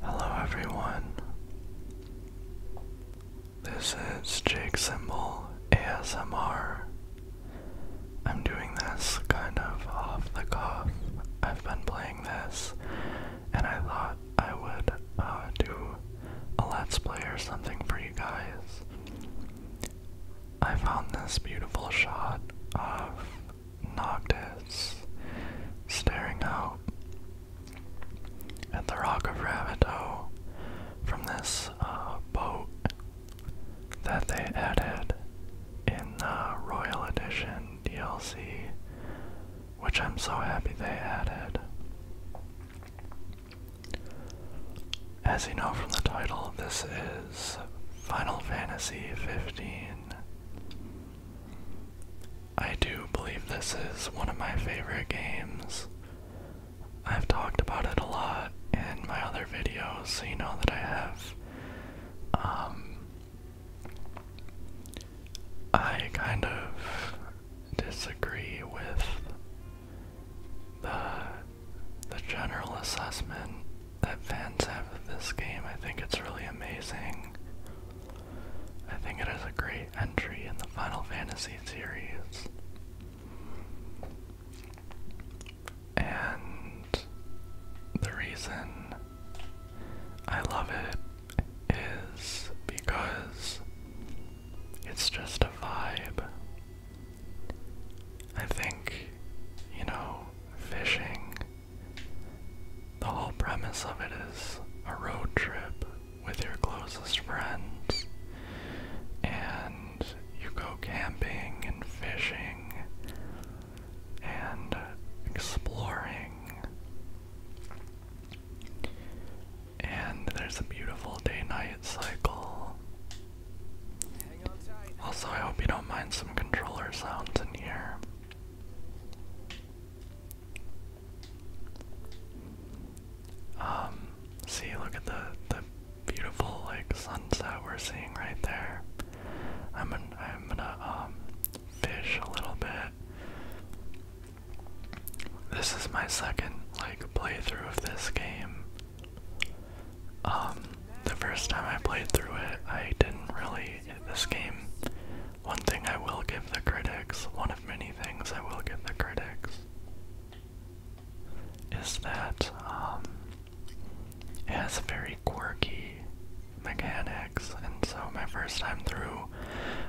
Hello everyone. This is Jake Symbol ASMR. I'm doing this kind of off the cuff. I've been playing this and I thought I would uh, do a let's play or something for you guys. I found this beautiful shot of Noctis, staring out at the Rock of Ravito from this uh, boat that they added in the uh, Royal Edition DLC, which I'm so happy they added. As you know from the title, this is Final Fantasy 15. I do believe this is one of my favorite games. I've talked about it a lot in my other videos, so you know that I have. Um, I kind of disagree with the the general assessment that fans have of this game. I think it's really amazing. I think it is a great entry in the Final Fantasy series. And the reason I love it is because it's just a vibe. I think, you know, fishing the whole premise of it is a road trip with your closest friends, and you go camping and fishing and exploring. And there's a beautiful day night cycle. Also, I hope you don't mind some controller sounds in here. Um, see, look at the the beautiful like sunset we're seeing right there. I'm gonna I'm gonna um fish a little bit. This is my second like playthrough of this game. Um, the first time I played through it, I didn't really. This game one thing I will give the critics, one of many things I will give the critics, is that um, it has very quirky mechanics, and so my first time through,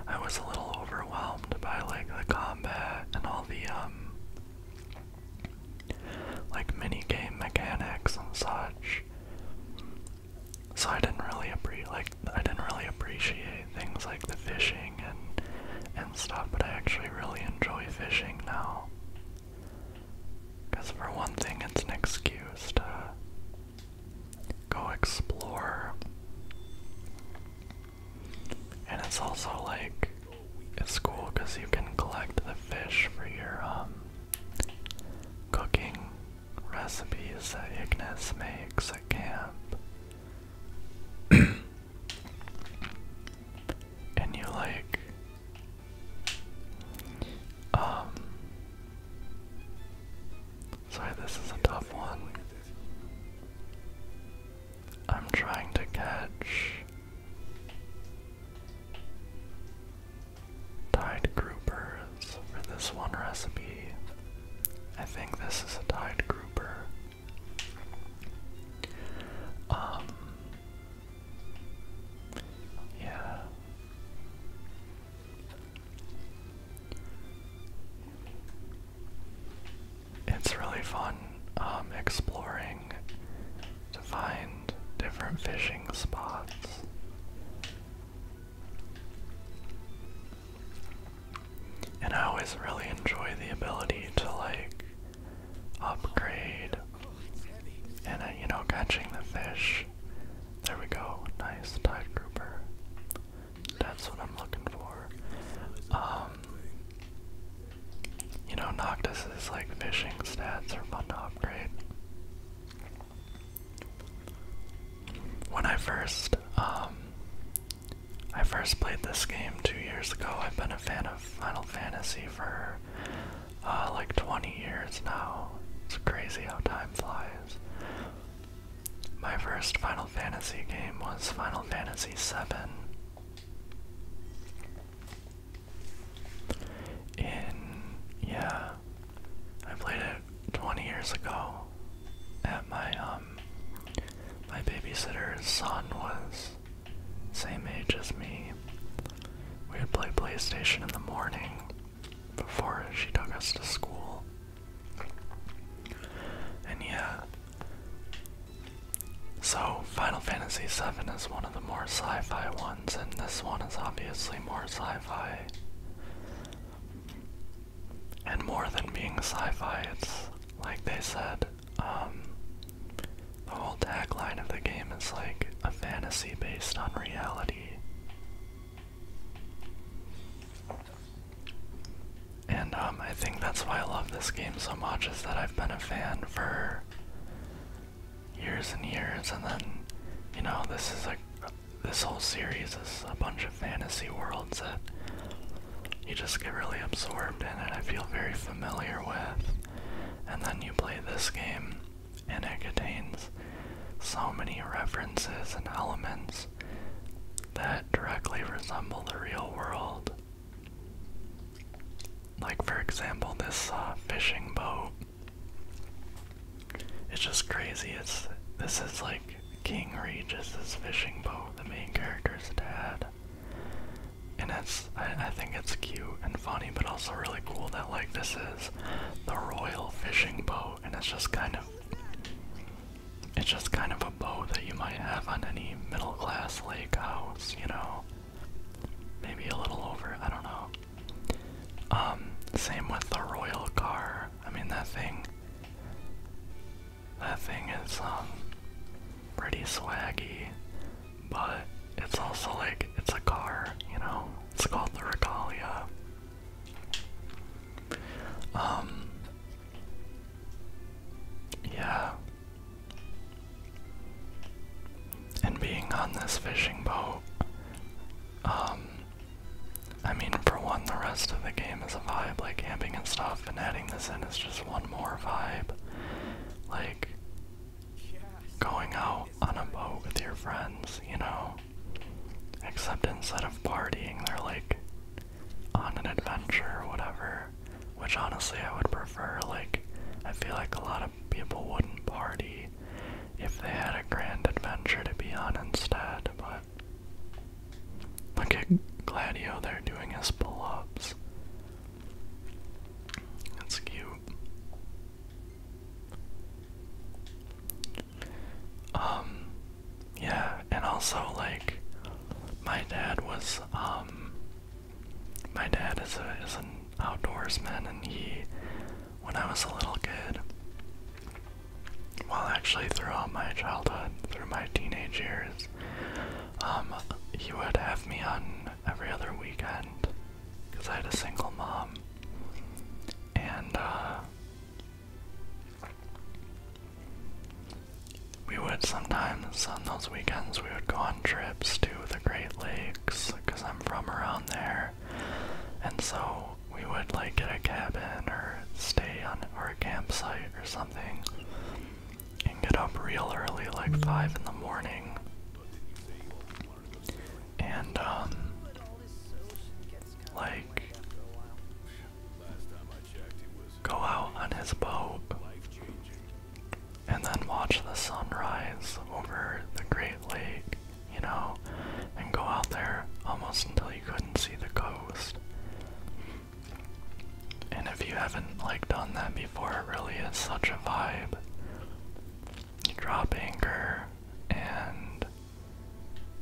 I was a little overwhelmed by like the combat and all the um, like mini game mechanics and such. So I didn't really appre like I didn't really appreciate things like the fishing and and stuff, but I actually really enjoy fishing now. Cause for one thing, it's an excuse to go explore, and it's also like it's cool because you can collect the fish for your um cooking recipes that Ignis makes at camp. and you like um sorry this is a tough one i'm trying to catch Tide groupers for this one recipe. I think this is a tide grouper. Um, yeah. It's really fun um, exploring to find different fishing spots. And I always really enjoy the ability to like upgrade and uh, you know catching the fish. There we go, nice tide grouper. That's what I'm looking for. Um, you know, Noctis's like fishing stats are fun to upgrade. When I first, um, I first played this game two years ago. I've been a fan of Final Fantasy for uh, like 20 years now. It's crazy how time flies. My first Final Fantasy game was Final Fantasy VII. In yeah, I played it 20 years ago at my um my babysitter's son was same age as me. We would play PlayStation in the morning before she took us to school. And yeah. So Final Fantasy VII is one of the more sci-fi ones, and this one is obviously more sci-fi and more than being sci-fi, it's like they said, um, the whole tagline of the game is like a fantasy based on reality. And um, I think that's why I love this game so much is that I've been a fan for years and years, and then, you know, this is like this whole series is a bunch of fantasy worlds that you just get really absorbed in and I feel very familiar with. And then you play this game, and it contains so many references and elements that directly resemble the real world. Like, for example, this uh, fishing boat. It's just crazy. It's this is like King Regis's fishing boat, the main character's dad. And it's I, think it's cute and funny, but also really cool that like this is the royal fishing boat, and it's just kind of it's just kind of a boat that you might have on any middle class lake house, you know. Maybe a little over, I don't know. Um, same with the royal car. I mean, that thing. That thing is, um, pretty swaggy, but it's also like, it's a car, you know? It's called the Regalia. Um, yeah. And being on this fishing boat, um, I mean, for one, the rest of the game is a vibe, like camping and stuff, and adding this in is just one more vibe. Like, going out on a boat with your friends, you know? Except instead of partying, they're like on an adventure or whatever. Which honestly, I would prefer. Like, I feel like a lot of people wouldn't party if they had a grand adventure to be on instead, but Look at Gladio they are doing his pull ups. That's cute. Um, yeah, and also, like, my dad was, um, my dad is, a, is an outdoorsman and he when I was a little kid. Well, actually, throughout my childhood, through my teenage years, um, he would have me on every other weekend because I had a single mom. And, uh, we would sometimes, on those weekends, we would go on trips to the Great Lakes because I'm from around there. And so we would like get a cabin or stay on or a campsite or something and get up real early like five in the morning and um like go out on his boat and then watch the sunrise over the Great Lake you know, and go out there almost until you couldn't see the coast. And if you haven't like done that before, it really is such a vibe. You drop anchor and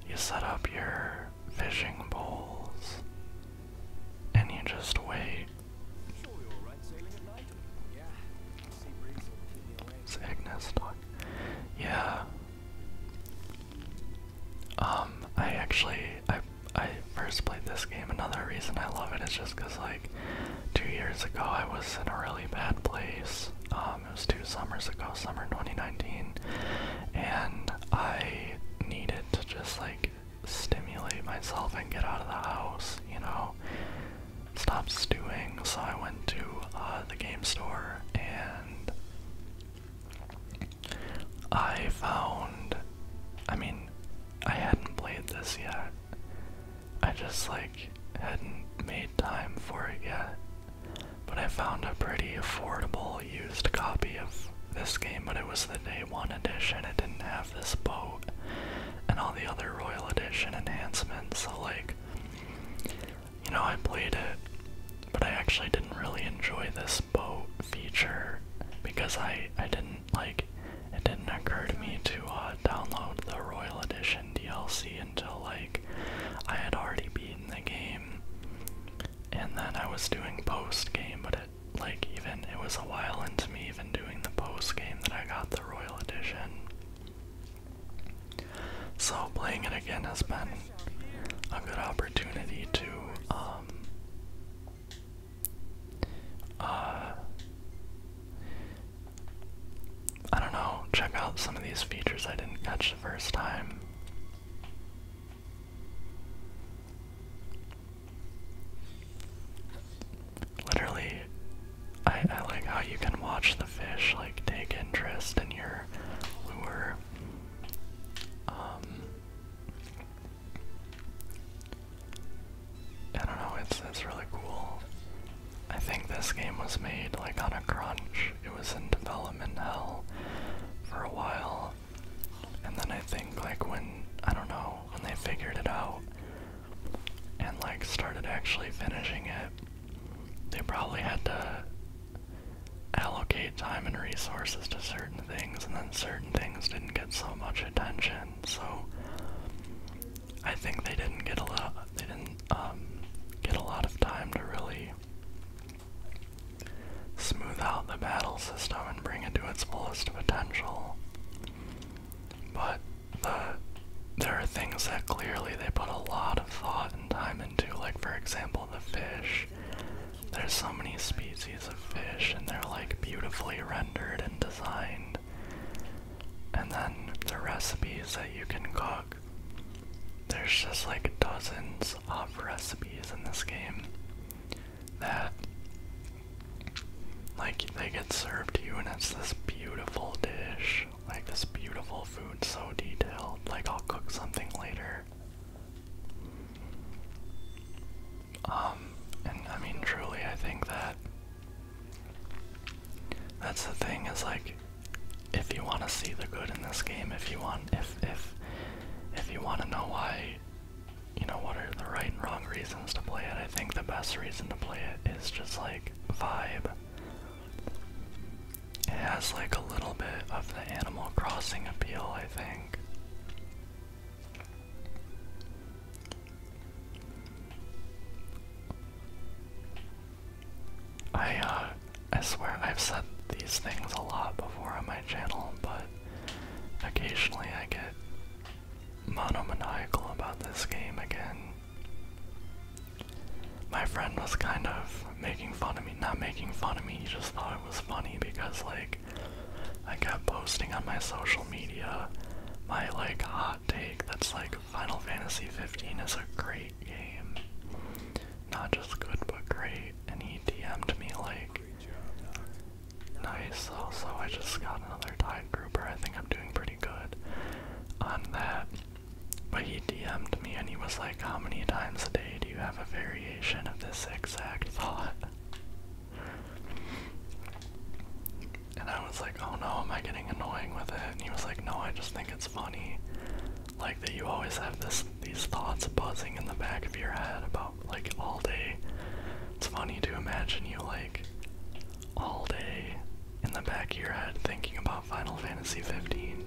you set up your fishing poles and you just wait. It's Agnes talk. Yeah. Um, I actually, I, I first played this game. Another reason I love it is just because, like, two years ago I was in a really bad place. Um, it was two summers ago, summer 2019, and I needed to just, like, stimulate myself and get out of the house, you know, stop stewing. So I went to uh, the game store and I found. I mean, I hadn't played this yet. I just, like, hadn't made time for it yet. But I found a pretty affordable used copy of this game, but it was the day one edition. It didn't have this boat and all the other Royal Edition enhancements, so, like, you know, I played it, but I actually didn't really enjoy this boat feature because I I didn't like it didn't occur to me to uh, download the Royal Edition DLC until like I had already beaten the game, and then I was doing post game, but it like even it was a while into me even doing the post game that I got the Royal Edition. So playing it again has been a good opportunity to um, uh, I don't know, check out some of these features I didn't catch the first time. Literally, I, I like how you can watch the fish like take interest in your lure. Um, I don't know. It's it's really cool. I think this game was made like on a crunch. It was in development hell for a while, and then I think like when I don't know when they figured it out and like started actually finishing it, they probably had to allocate time and resources to certain things, and then certain things didn't get so much attention. So I think they didn't get a lot. They didn't um, get a lot of time to really smooth out the battle system and bring it to its fullest potential. But there are things that clearly they put a lot of thought and time into, like for example the fish. There's so many species of fish and they're like beautifully rendered and designed. And then the recipes that you can cook. There's just like dozens of recipes in this game that like they get served to you and it's this beautiful dish, like this beautiful food so detailed. Like I'll cook something later um, and I mean, truly, I think that that's the thing is like, if you want to see the good in this game, if you want, if if if you want to know why, you know, what are the right and wrong reasons to play it, I think the best reason to play it is just like vibe. It has like a little bit of the Animal Crossing appeal, I think. I uh, I swear I've said these things a lot before on my channel, but occasionally I get monomaniacal about this game again my friend was kind of making fun of me. Not making fun of me, he just thought it was funny because, like, I kept posting on my social media my, like, hot take that's like Final Fantasy 15 is a great game. Not just good, but great. And he DM'd me, like, nice. Also, I just got another tide grouper. I think I'm doing pretty good on that. But he DM'd me and he was like, How many times a day do you have a very of this exact thought. And I was like, oh no, am I getting annoying with it? And he was like, no, I just think it's funny. Like that you always have this these thoughts buzzing in the back of your head about like all day. It's funny to imagine you like all day in the back of your head thinking about Final Fantasy 15.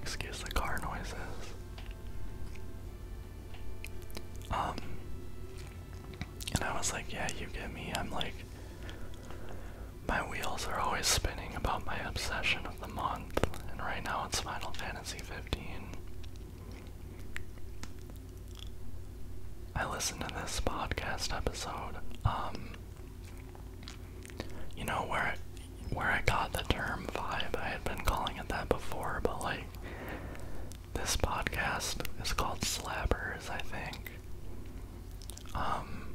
Excuse the car noises. Um, and I was like, yeah, you get me. I'm like, my wheels are always spinning about my obsession of the month, and right now it's Final Fantasy 15. I listened to this podcast episode, um, you know where where I got the term vibe. I had been calling it that before, but like this podcast is called Slappers, I think. Um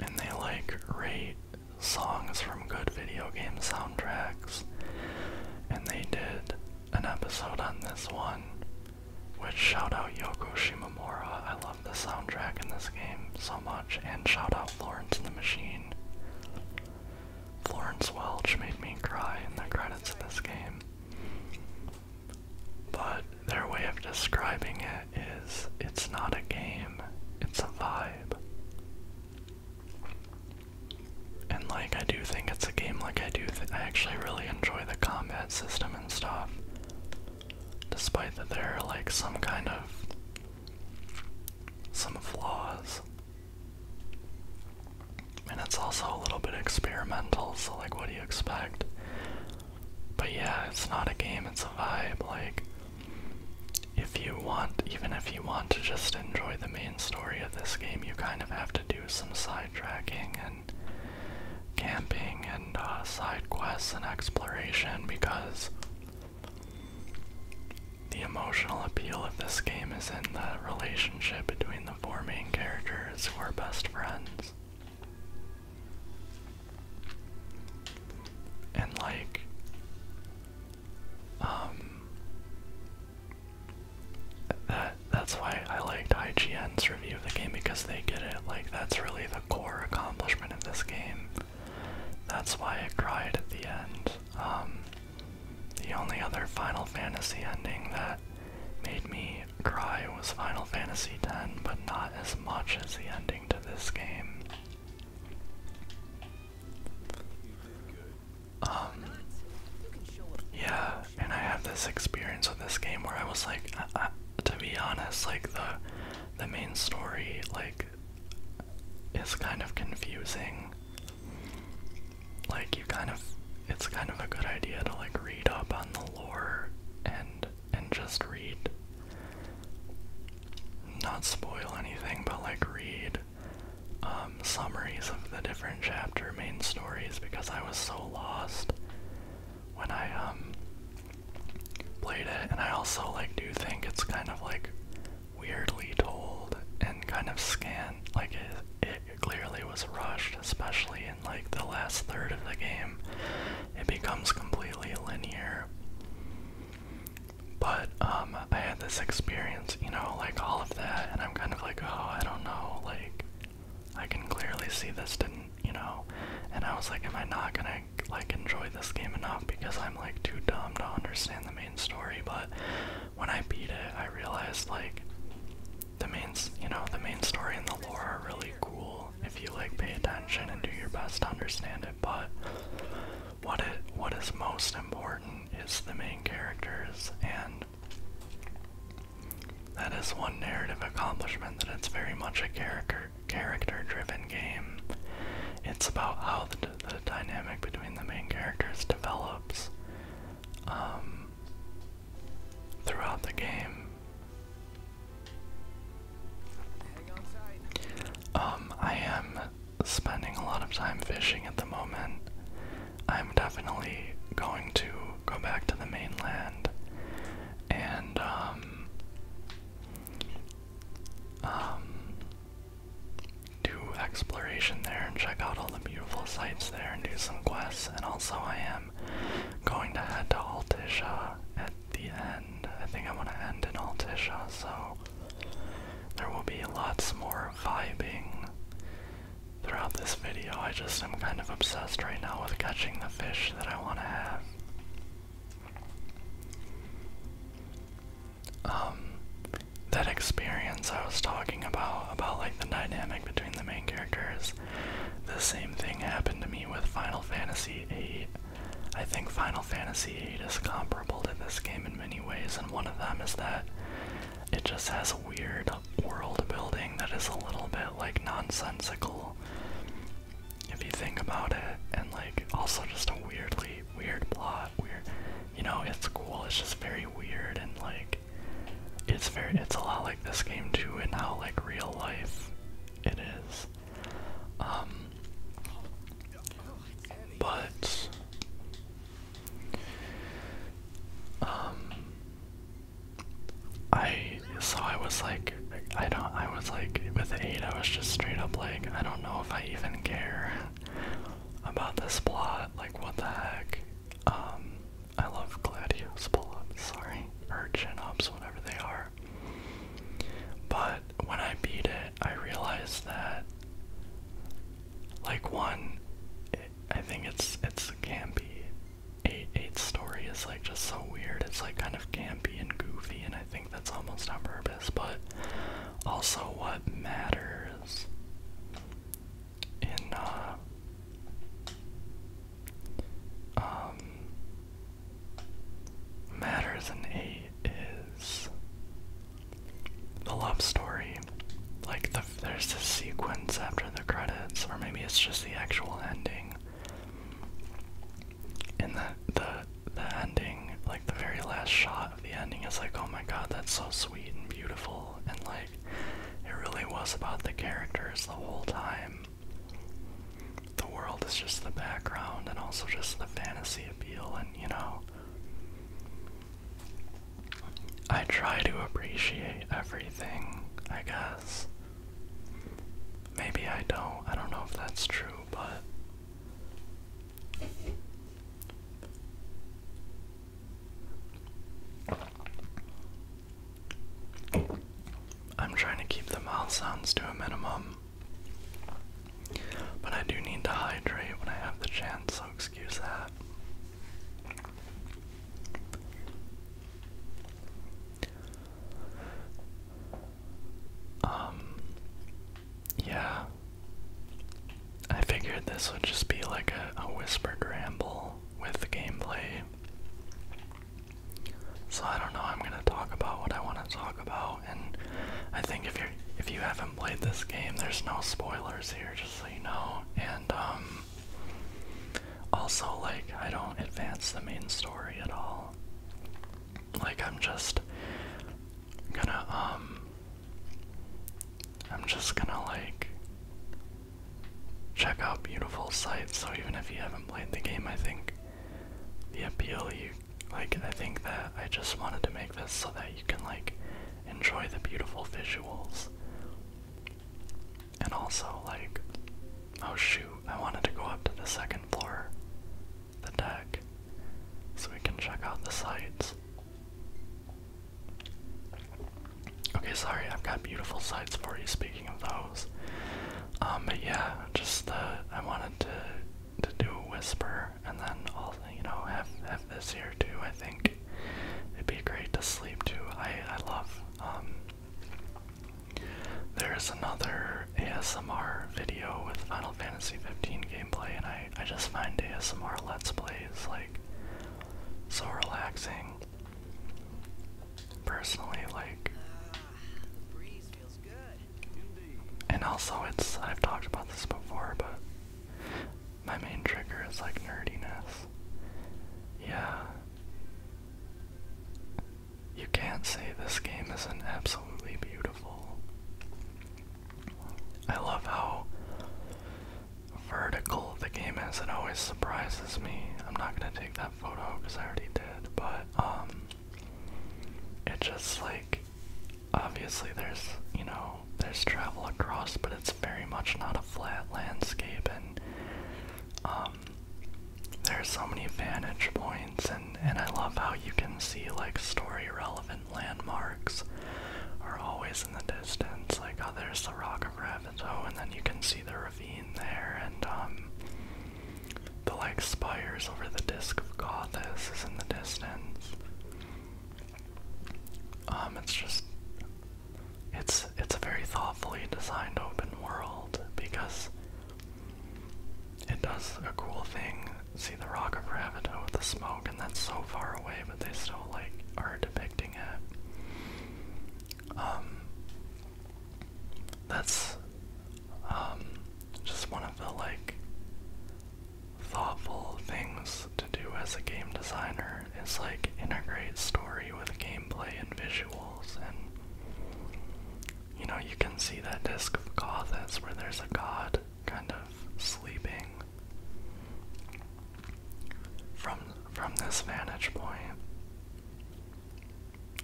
and they like rate songs from good video game soundtracks. And they did an episode on this one, which shout out Yoko Shimomura. I the soundtrack in this game so much, and shout out Florence and the Machine. Florence Welch made me cry in the credits of this game. But their way of describing it is it's not a game, it's a vibe. And like I do think it's a game like I do I actually really enjoy the combat system and stuff. Despite that they are like some kind of some flaws. And it's also a little bit experimental, so like what do you expect? But yeah, it's not a game, it's a vibe. Like if you want even if you want to just enjoy the main story of this game, you kind of have to do some sidetracking and camping and uh, side quests and exploration because the emotional appeal of this game is in the relationship between the four main characters who are best friends. And like um that that's why I liked IGN's review of the game because they get it. Like that's really the core accomplishment of this game that's why it cried at the end. Um, the only other Final Fantasy ending that made me cry was Final Fantasy X, but not as much as the ending to this game. Um, yeah, and I have this experience with this game where I was like, to be honest, like the the main story, like like is kind of confusing. Like you kind of it's kind of a good idea to like read up on the lore and and just read not spoil anything but like read um summaries of the different chapter main stories because I was so lost when I um played it, and I also like do think it's kind of like weirdly told and kind of scant. Like it, it clearly was rushed, especially in like the last third of the game. It becomes completely linear. But um, I had this experience, you know, like all of that, and I'm kind of like, oh, I don't know, like I can clearly see this didn't, you know, and I was like, am I not gonna like enjoy this game enough because I'm like too dumb to understand the main story, but when I beat it, I realized like the main, you know, the main story and the lore are really cool if you like pay attention and do your best to understand it, but what it what is most important is the main characters and that is one narrative accomplishment that it's very much a character character-driven game. It's about how the, dynamic between the main characters develops um, throughout the game. Um, I am spending a lot of time fishing at the moment. I'm definitely going to go back to the mainland and um, um, do exploration there and check out all the beautiful sites there and do some quests. And also, I am going to head to Altisha at the end. I think I want to end in Altisha, so there will be lots more vibing throughout this video. I just am kind of obsessed right now with catching the fish that I want to have. Um, that experience I was talking about, about like the dynamic between the main characters, the same thing happened to me with Final Fantasy VIII. I think Final Fantasy VIII is comparable to this game in many ways, and one of them is that it just has a weird world building that is a little bit like nonsensical if you think about it, and like also just a weirdly weird plot. Weird, you know, it's cool. It's just very weird and like it's very. It's a lot like this game too, and how like real life it is. Um, but um, I so I was like I don't, I was like, with 8, I was just straight up like, I don't know if I even care about this plot, like, what the heck. Um, I love Gladius pull-ups, sorry, or ups whatever they are. But when I beat it, I realized that, like, one, I think it's, it's campy. Eight, eight story is like just so weird. It's like kind of campy and goofy, and I think that's almost on purpose, but also what matters in uh, um, matters in a is the love story. Like there's this sequence after the credits, or maybe it's just the actual ending and the the the ending, like the very last shot of the ending, is like, oh my god, that's so sweet and beautiful, and like, it really was about the characters the whole time. The world is just the background, and also just the fantasy appeal, and you know. I try to appreciate everything, I guess. Maybe I don't. I don't know if that's true, but I'm trying to keep the mouth sounds to a minimum, but I do need to hydrate when I have the chance, so excuse that. Um, yeah. I figured this would just be like a, a whispered ramble with the gameplay. So I don't know, I'm gonna talk about what I wanna talk about and I think if you if you haven't played this game there's no spoilers here, just so you know. And um, also like I don't advance the main story at all. Like I'm just gonna um, I'm just gonna like check out beautiful sights. So even if you haven't played the game, I think the appeal you like I think that I just wanted to make this so that you can like enjoy the beautiful visuals. And also like oh shoot, I wanted to go up to the second floor the deck so we can check out the sights. Okay, sorry, I've got beautiful sights for you speaking of those. Um, but yeah, just uh, I wanted to to do a whisper and then also you know have have this here too. I think it'd be great to sleep too. I I love um there's another ASMR video with Final Fantasy 15 gameplay, and I, I just find ASMR Let's Plays like so relaxing. Personally, like. And also, it's. I've talked about this before, but my main trigger is like nerdiness. Yeah. You can't say this game isn't absolutely beautiful. I love how vertical the game is. It always surprises me. I'm not gonna take that photo because I already did, but um, it just like obviously there's you know there's travel across, but it's very much not a flat landscape, and um, there's so many vantage points, and I love how you can see like story relevant landmarks are always in the distance. Like, oh, there's the Rock of Ravito, oh, and then you can see the ravine there, and um, the like spires over the Disk of Gothis is in the distance. Um, it's just it's it's a very thoughtfully designed open world because it does a cool thing. See the Rock of Ravito with the smoke, and that's so far away, but they still like are depicting it. Um, that's um, just one of the like thoughtful things to do as a game designer is like integrate story with gameplay and visuals and you know you can see that disc of Gothas where there's a god kind of sleeping. From from this vantage point,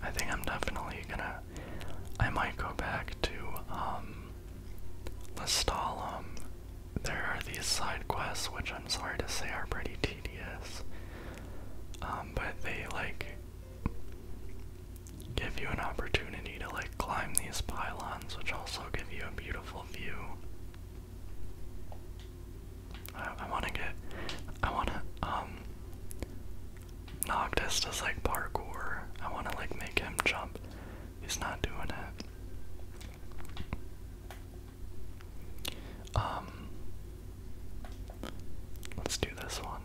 I think I'm definitely gonna. I might go back to um, Lestalum. There are these side quests, which I'm sorry to say are pretty tedious. Um, but they like give you an opportunity to like climb these pylons, which also give you a beautiful view. I, want to get, I want to, um, Noctis does like parkour. I want to like make him jump. He's not doing it. Um, let's do this one.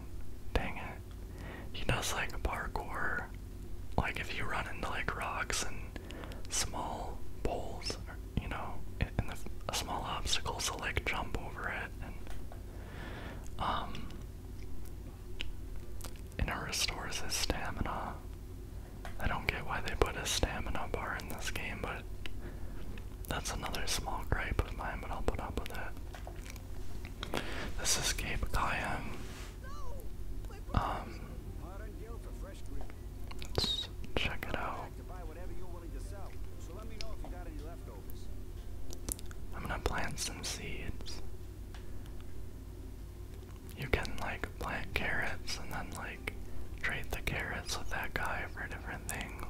Dang it. He does like parkour. Like if you run into like rocks and small poles, you know, and the small obstacles, to like jump over it. And um, and it restores his stamina. I don't get why they put a stamina bar in this game, but that's another small gripe of mine, but I'll put up with it. This is Gabe Kayam. Um, let's check it out. I'm gonna plant some seeds. You can like plant carrots and then like trade the carrots with that guy for different things.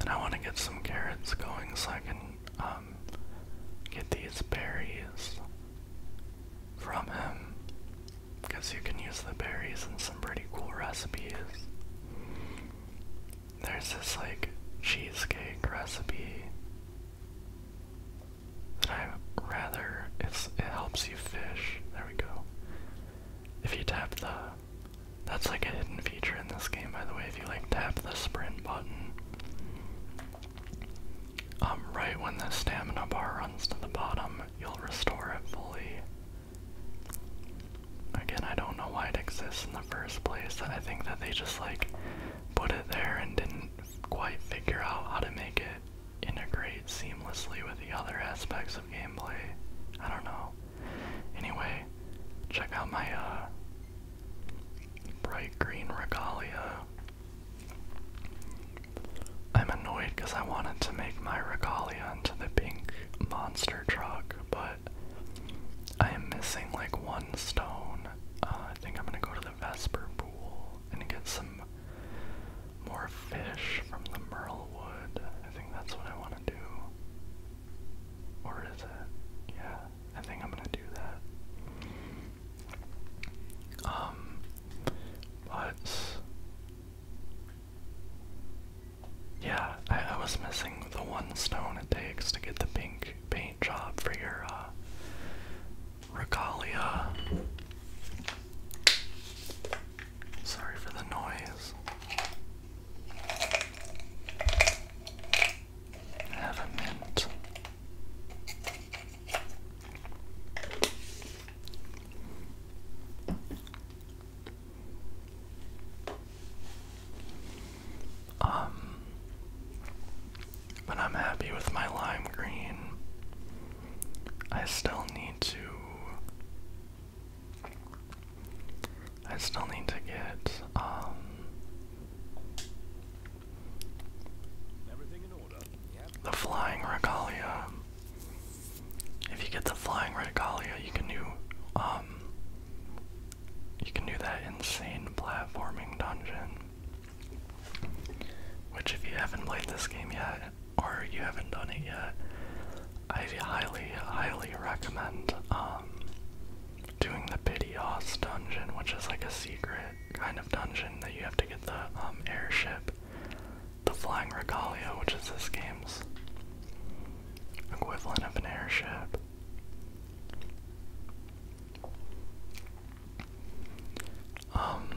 And I want to get some carrots going so I can um, um, get these berries from him because you can use the berries in some pretty cool recipes. There's this like cheesecake recipe that I rather it's it helps you fish. There we go. If you tap the that's like a hidden feature in this game, by the way, if you like tap the sprint button. Um, right when the stamina bar runs to the bottom, you'll restore it fully. Again, I don't know why it exists in the first place. I think that they just like put it there and didn't quite figure out how to make it integrate seamlessly with the other aspects of gameplay. I don't know. Anyway, check out my uh, Bright green regalia. I'm annoyed because I wanted to make my regalia into the pink monster truck, but I am missing like one stone. Uh, I think I'm gonna go to the Vesper Pool and get some more fish from the Merle Wood. I think that's what I want to do. Or is it? Yeah, I think I'm gonna do that. Um, but yeah, I, I was missing the one stone it takes to get the pink paint job for your uh, regalia. Sorry for the noise have a mint. Um, but I'm happy with my lime green. I still need to. I still need to get um the flying regalia. If you get the flying regalia, you can do um you can do that insane platforming dungeon. Which if you haven't played this game yet, or you haven't done it yet, I highly, highly recommend um, doing the Pidios dungeon, which is like a secret kind of dungeon that you have to get the um, airship, the Flying Regalia, which is this game's equivalent of an airship. Um,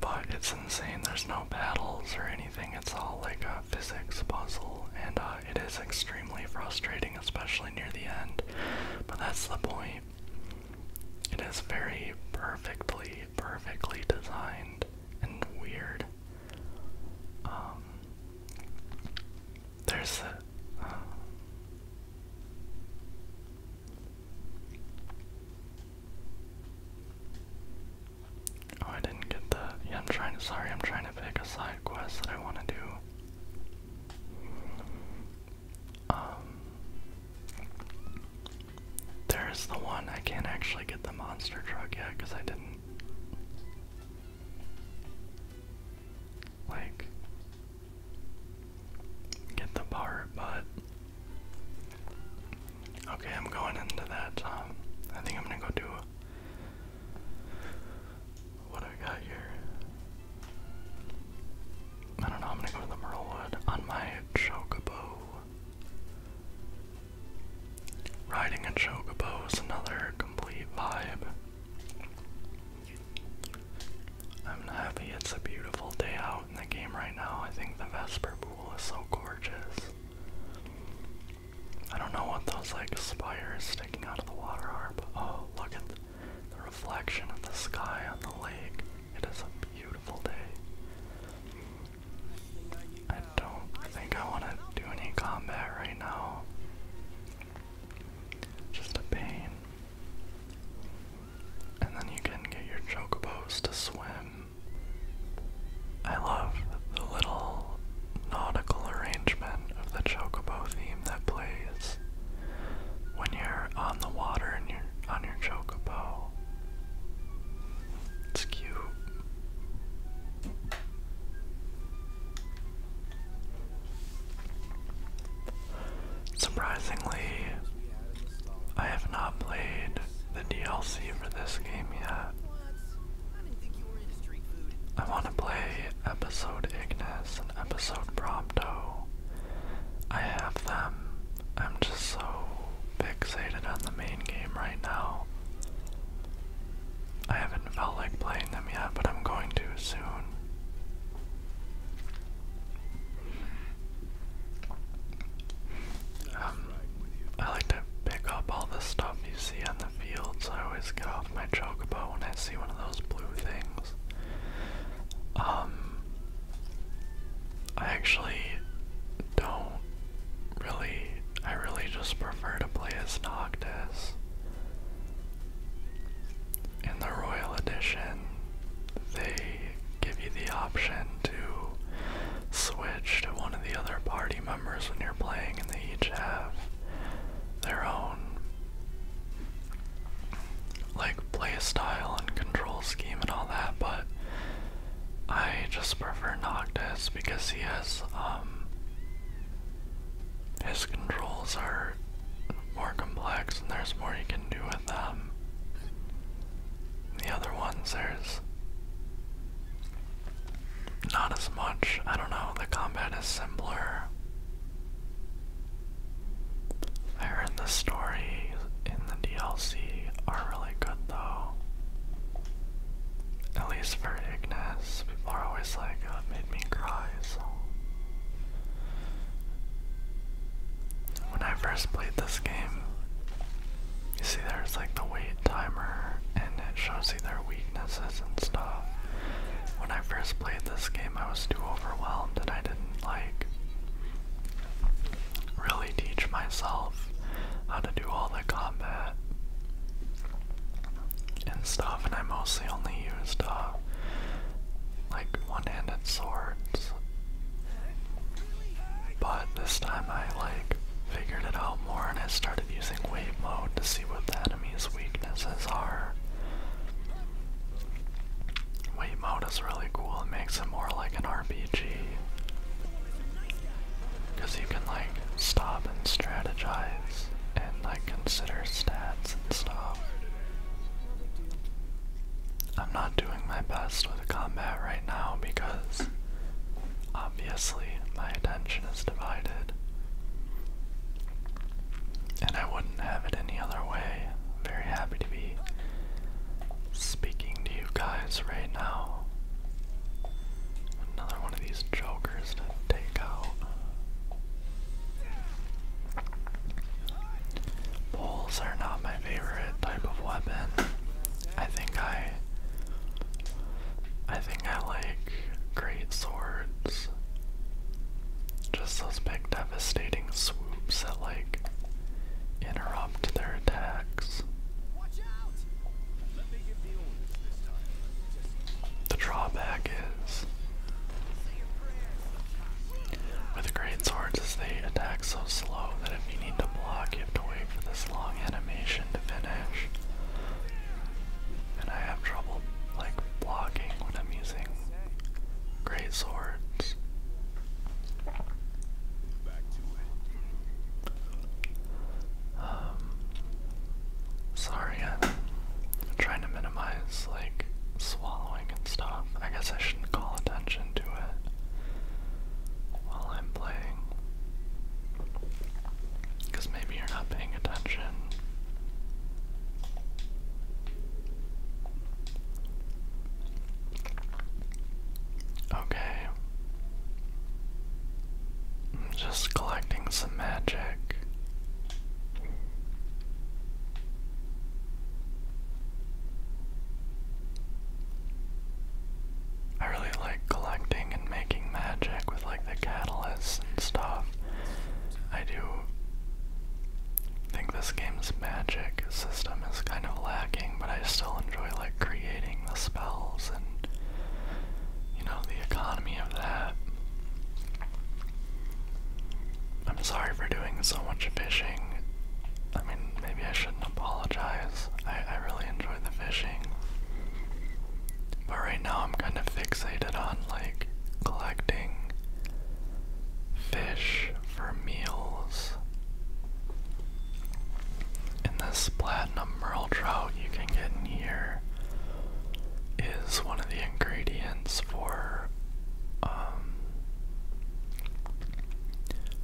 but it's insane. There's no battles or anything. It's all like a physics puzzle, and uh, it is extremely frustrating, especially near the end. But that's the point. It is very perfectly, perfectly designed and weird. Um, there's a. Uh, Oh, I didn't get the. Yeah, I'm trying to. Sorry, I'm trying to pick a side quest that I want to do. Um. There's the one. I can't actually get the monster truck yet because I didn't. Like. Get the part, but. Okay, I'm going into that. Um, I think I'm gonna go do what do I got here? I don't know, I'm gonna go to Merlewood on my Chocobo. Riding a Chocobo is another complete vibe. I'm happy it's a beautiful day out in the game right now. I think the Vesper Pool is so gorgeous. I don't know what those like spires sticking out of the water are, but oh, look at the reflection of the sky on the lake. It is a beautiful day. I don't think I want to do any combat right now. Just a pain. And then you can get your chocobos to swim. I love the little nautical arrangement of the Chocobo theme that plays when you're on the water and you're on your Chocobo. It's cute. Surprisingly, I have not played the DLC for this game yet. I want to play episode Ignis and episode Prompto. I have them. I'm just so fixated on the main game right now. I haven't felt like playing them yet, but I'm going to soon. Um, I like to pick up all the stuff you see on the fields. I always get off my chocobo when I see one of those blue things. Um, I actually don't really. I really just prefer to play as Noctis. In the Royal Edition, they give you the option to switch to one of the other parties members when you're playing, and they each have their own like play style and control scheme and all that. But I just prefer Noctis because he has um, his controls are more complex and there's more you can do with them. The other ones, there's not as much. I don't know. The combat is simpler. the story in the DLC are really good though. At least for Ignis. People are always like, oh, it made me cry, so. When I first played this game, you see there's like the wait timer and it shows you their weaknesses and stuff. When I first played this game I was too overwhelmed and I didn't like really teach myself how to do all the combat and stuff and I mostly only used uh like one-handed swords. But this time I like figured it out more and it started using wave mode to see what the enemy's weaknesses are. Wave mode is really cool, it makes it more like an RPG. Because you can like stop and strategize and like consider stats and stuff. I'm not doing my best with combat right now because Obviously, my attention is divided. And I wouldn't have it any other way. Very happy to be speaking to you guys right now. Another one of these jokers to take out. Poles are not my favorite type of weapon. I think I I think I like great swords. Just those big devastating swoops that like interrupt their attacks. The drawback is with great swords is they attack so slow that if you need to block you have to wait for this long animation to finish and I have trouble like blocking when I'm using great swords. Um, sorry, I'm trying to minimize like swallowing and stuff. I guess I shouldn't call attention to it while I'm playing. Because maybe you're not paying attention. Okay. just collecting some magic. I really like collecting and making magic with like the catalysts and stuff. I do think this game's magic system is kind of lacking, but I still enjoy like creating the spells and you know the economy of that. I'm sorry for doing so much fishing. I mean, maybe I shouldn't apologize. I, I really enjoy enjoy the fishing. But right now I'm kind of fixated on like collecting fish for meals. And this platinum merle trout you can get in here is one of the ingredients for um,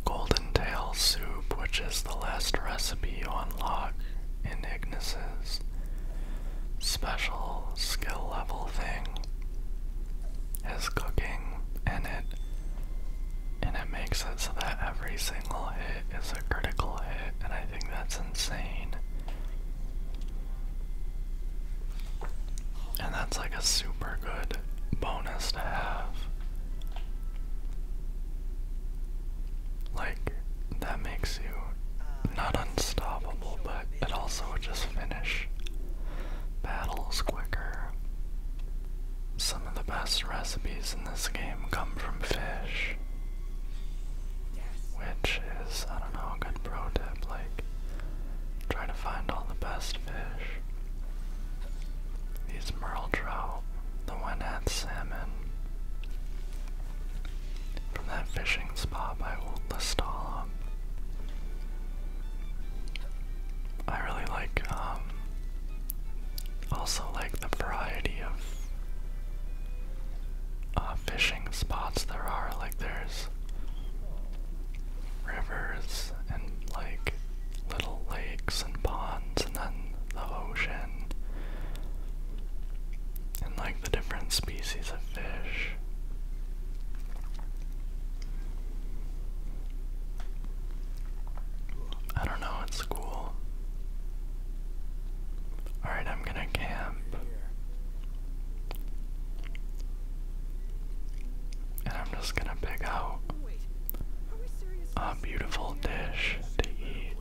golden tail soup, which is the last recipe you unlock in Ignis's special skill level thing is cooking in it, and it makes it so that every single hit is a critical hit, and I think that's insane. And that's like a super good bonus to have. Like, that makes you not unstoppable, but it also just finish battles quicker. Some of the best recipes in this game come from fish. Which is, I don't know, a good pro tip. Like, try to find all the best fish. These merle trout, the one at salmon, from that fishing spot by Old Listala. I really like, um, also like the variety of uh, fishing spots there are. Like, there's rivers and like little lakes and ponds, and then the ocean and like the different species of fish. I don't know, it's cool. Alright, I'm gonna camp. And I'm just gonna pick out beautiful dish to eat.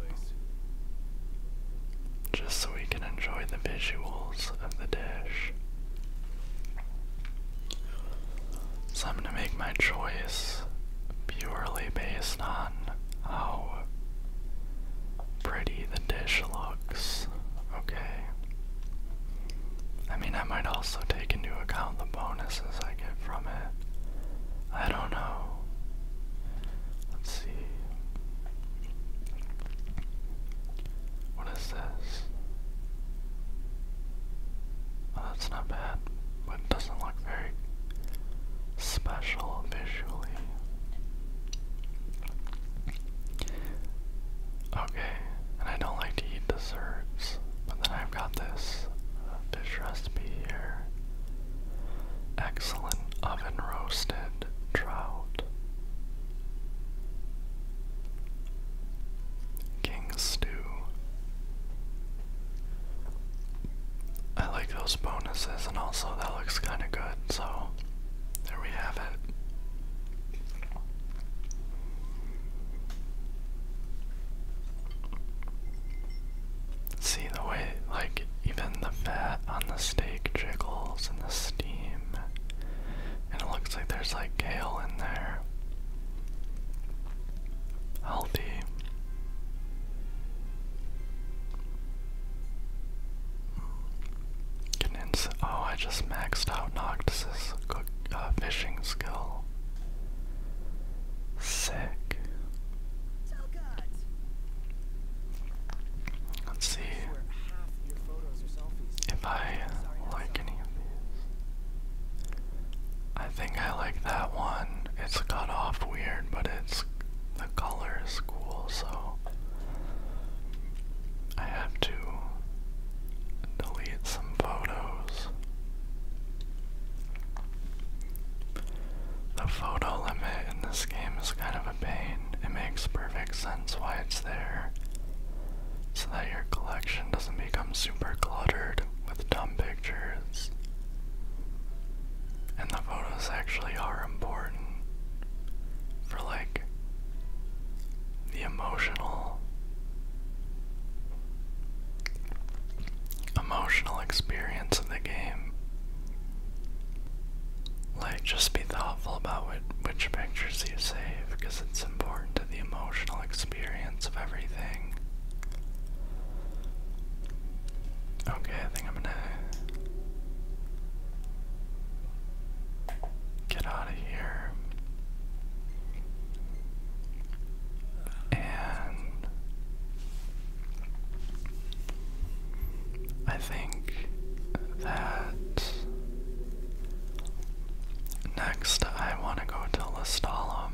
Just so we can enjoy the visuals of the dish. So I'm gonna make my choice purely based on how pretty the dish looks. Okay. I mean, I might also take into account the bonuses I get from it. I don't know. Let's see. What is this? Oh, that's not bad, but doesn't look very special visually. Okay, and I don't like to eat desserts, but then I've got this fish recipe here. Excellent oven roasted trout. King stew. I like those bonuses, and also that looks kind of good, so there we have it. See the way, like, even the fat on the steak jiggles in the steam. And it looks like there's like kale in there. Healthy. oh, I just maxed out Noctis's uh, fishing skill. Sick. Let's see if I like any of these. I think I like that one. It's cut off weird, but it's the color is cool, so I have to delete some photos. The photo limit in this game is kind of a pain. It makes perfect sense why it's there. So that your collection doesn't become super cluttered with dumb pictures. And the photos actually are important for like the emotional emotional experience of the game. Like, just be thoughtful about which pictures you save because it's important to the emotional experience of everything. Okay, I think I'm gonna get out of here. And I think that next I want to go to Lestalum.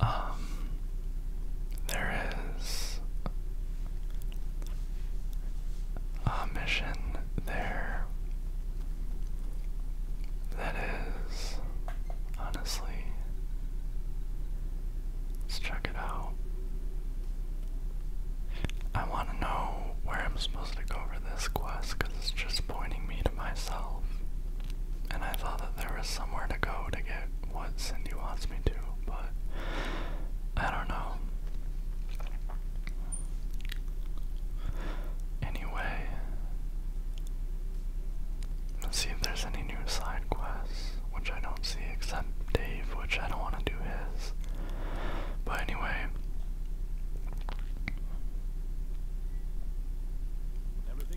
Um, there is a mission there that is honestly. Let's check it out. I want to know where I'm supposed to go for this quest it's just pointing me to myself. And I thought that there was somewhere to go to get what Cindy wants me to, but I don't know. Anyway, let's see if there's any new side quests, which I don't see except Dave, which I don't want to do his. But anyway.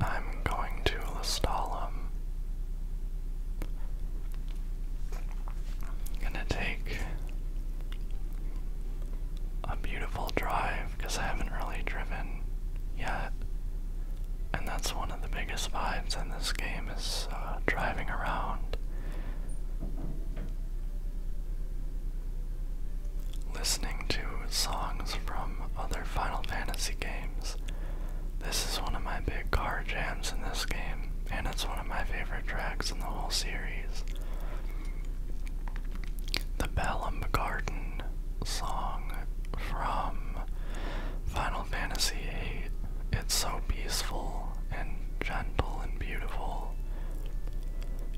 I'm going to Lestalum. Gonna take a beautiful drive because I haven't really driven yet. And that's one of the biggest vibes in this game is uh, driving around. Listening to songs from other Final Fantasy games. This is one of my big car jams in this game, and it's one of my favorite tracks in the whole series. The Bellum Garden song from Final Fantasy VIII. It's so peaceful and gentle and beautiful.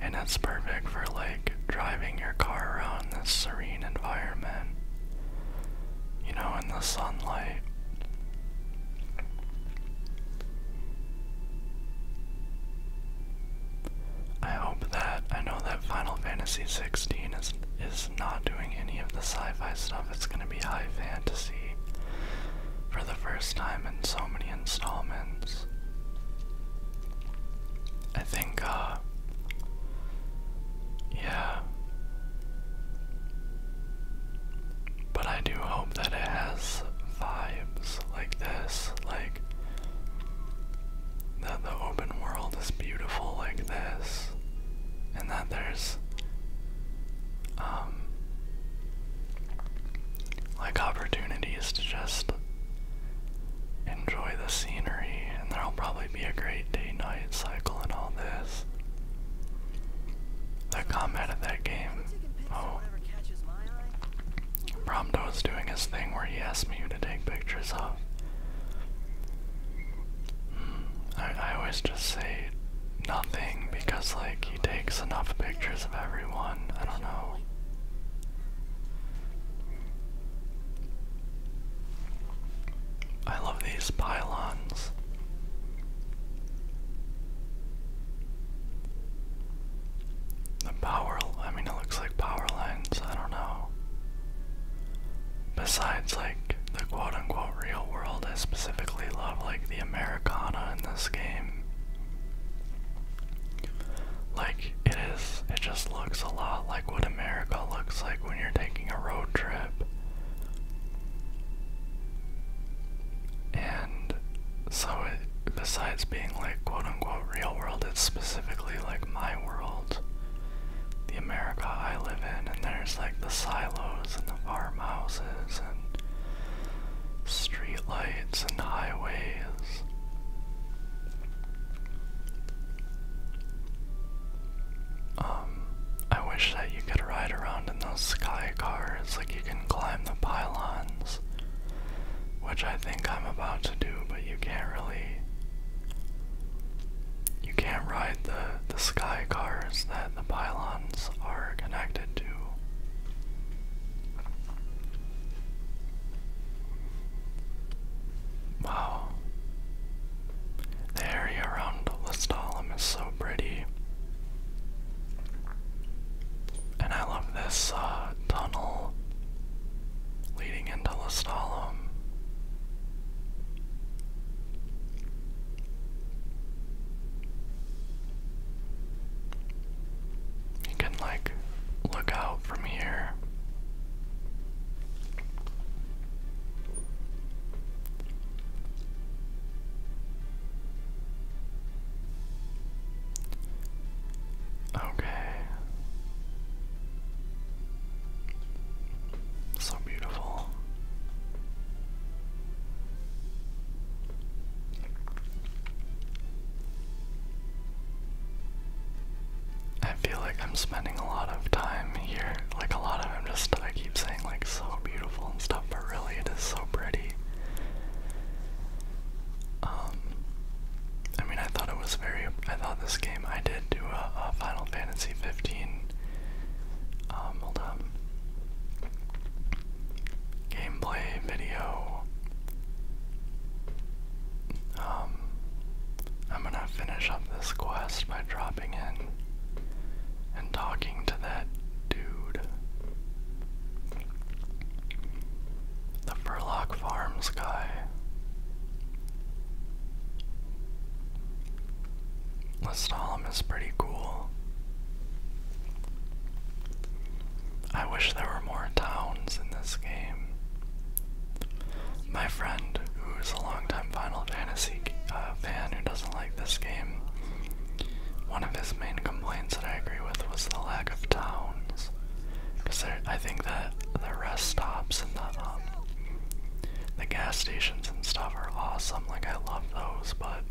And it's perfect for like driving your car around this serene environment. You know, in the sunlight. I hope that I know that Final Fantasy XVI is is not doing any of the sci-fi stuff. It's going to be high fantasy for the first time in so many installments. I think uh yeah. But I do hope that it has vibes like this, like that the open world is beautiful like this, and that there's um, like opportunities to just enjoy the scenery and there'll probably be a great day night cycle and all this. The combat of that game oh Bromdo is doing his thing where he asked me to take pictures of I, I always just say nothing because, like, he takes enough pictures of everyone. I don't know. I love these pylons. The power, I mean, it looks like power lines, I don't know. Besides, like, the quote unquote real world, I specifically love, like, the Americana in this game. Like, it is, it just looks a lot like what America looks like when you're taking a road trip. And so, it, besides being, like, quote real world, it's specifically like my world, the America I live in, and there's like the silos and the farmhouses and streetlights and highways. Um, I wish that you could ride around in those sky cars, like you can climb the pylons, which I think I'm about to do, but you can't really you can't ride the the sky cars that the pylons are connected to. Wow. The area around Lestalem is so pretty. And I love this uh, tunnel leading into Lestalum. You can like look out from here. Okay. So beautiful. I feel like I'm spending a lot of time here. Like a lot of i just I keep saying like so beautiful and stuff, but really it is so pretty. Um, I mean, I thought it was very. I thought this game. I did do a, Final Fantasy 15. Um, hold up. Gameplay video. Um, I'm gonna finish up this quest by dropping in and talking to that dude. The Furlock Farms guy. The is pretty cool. I wish there were more towns in this game. My friend, who's a longtime Final Fantasy uh, fan who doesn't like this game, one of his main complaints that I agree with was the lack of towns. Cause I think that the rest stops and the um, the gas stations and stuff are awesome. Like I love those, but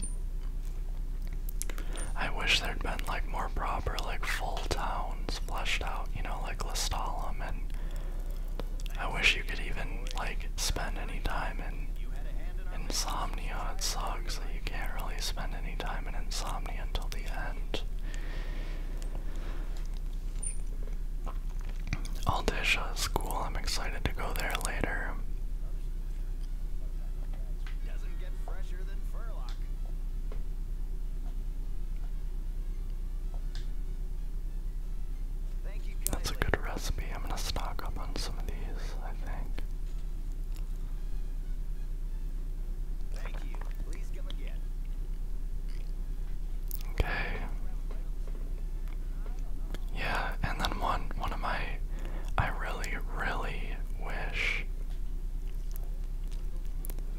I wish there'd been like more proper like full towns fleshed out. You know, like Lestalem, and I wish you could even like spend any time in insomnia. It sucks that you can't really spend any time in insomnia until the end. Aldisha School, I'm excited to go there later. That's a good recipe. I'm gonna stock up on some of these, I think. Okay. Yeah, and then one one of my I really, really wish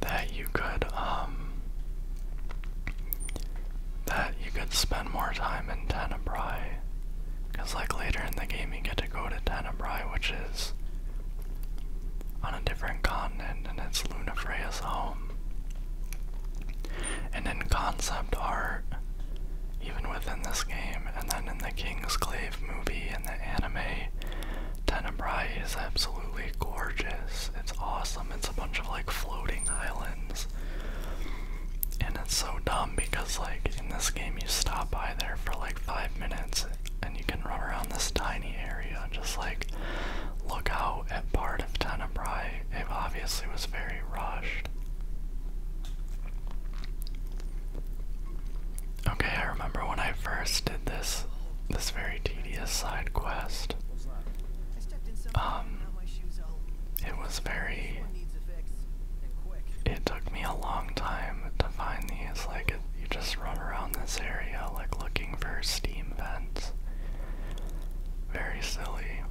that you could um that you could spend more time in Tenebrae. Cause like later in the game you get to go to Tenebrae, which is on a different continent, and it's Luna Freya's home. And in concept art, even within this game, and then in the King's Clave movie and the anime, Tenebrae is absolutely gorgeous. It's awesome. It's a bunch of like floating islands. And it's so dumb because, like, in this game, you stop by there for like five minutes and you can run around this tiny area just like look out at part of Tenebrae. It obviously was very rushed. Okay, I remember when I first did this this very tedious side quest. Um it was very it took me a long time to find these like you just run around this area like looking for steam vents. Very silly.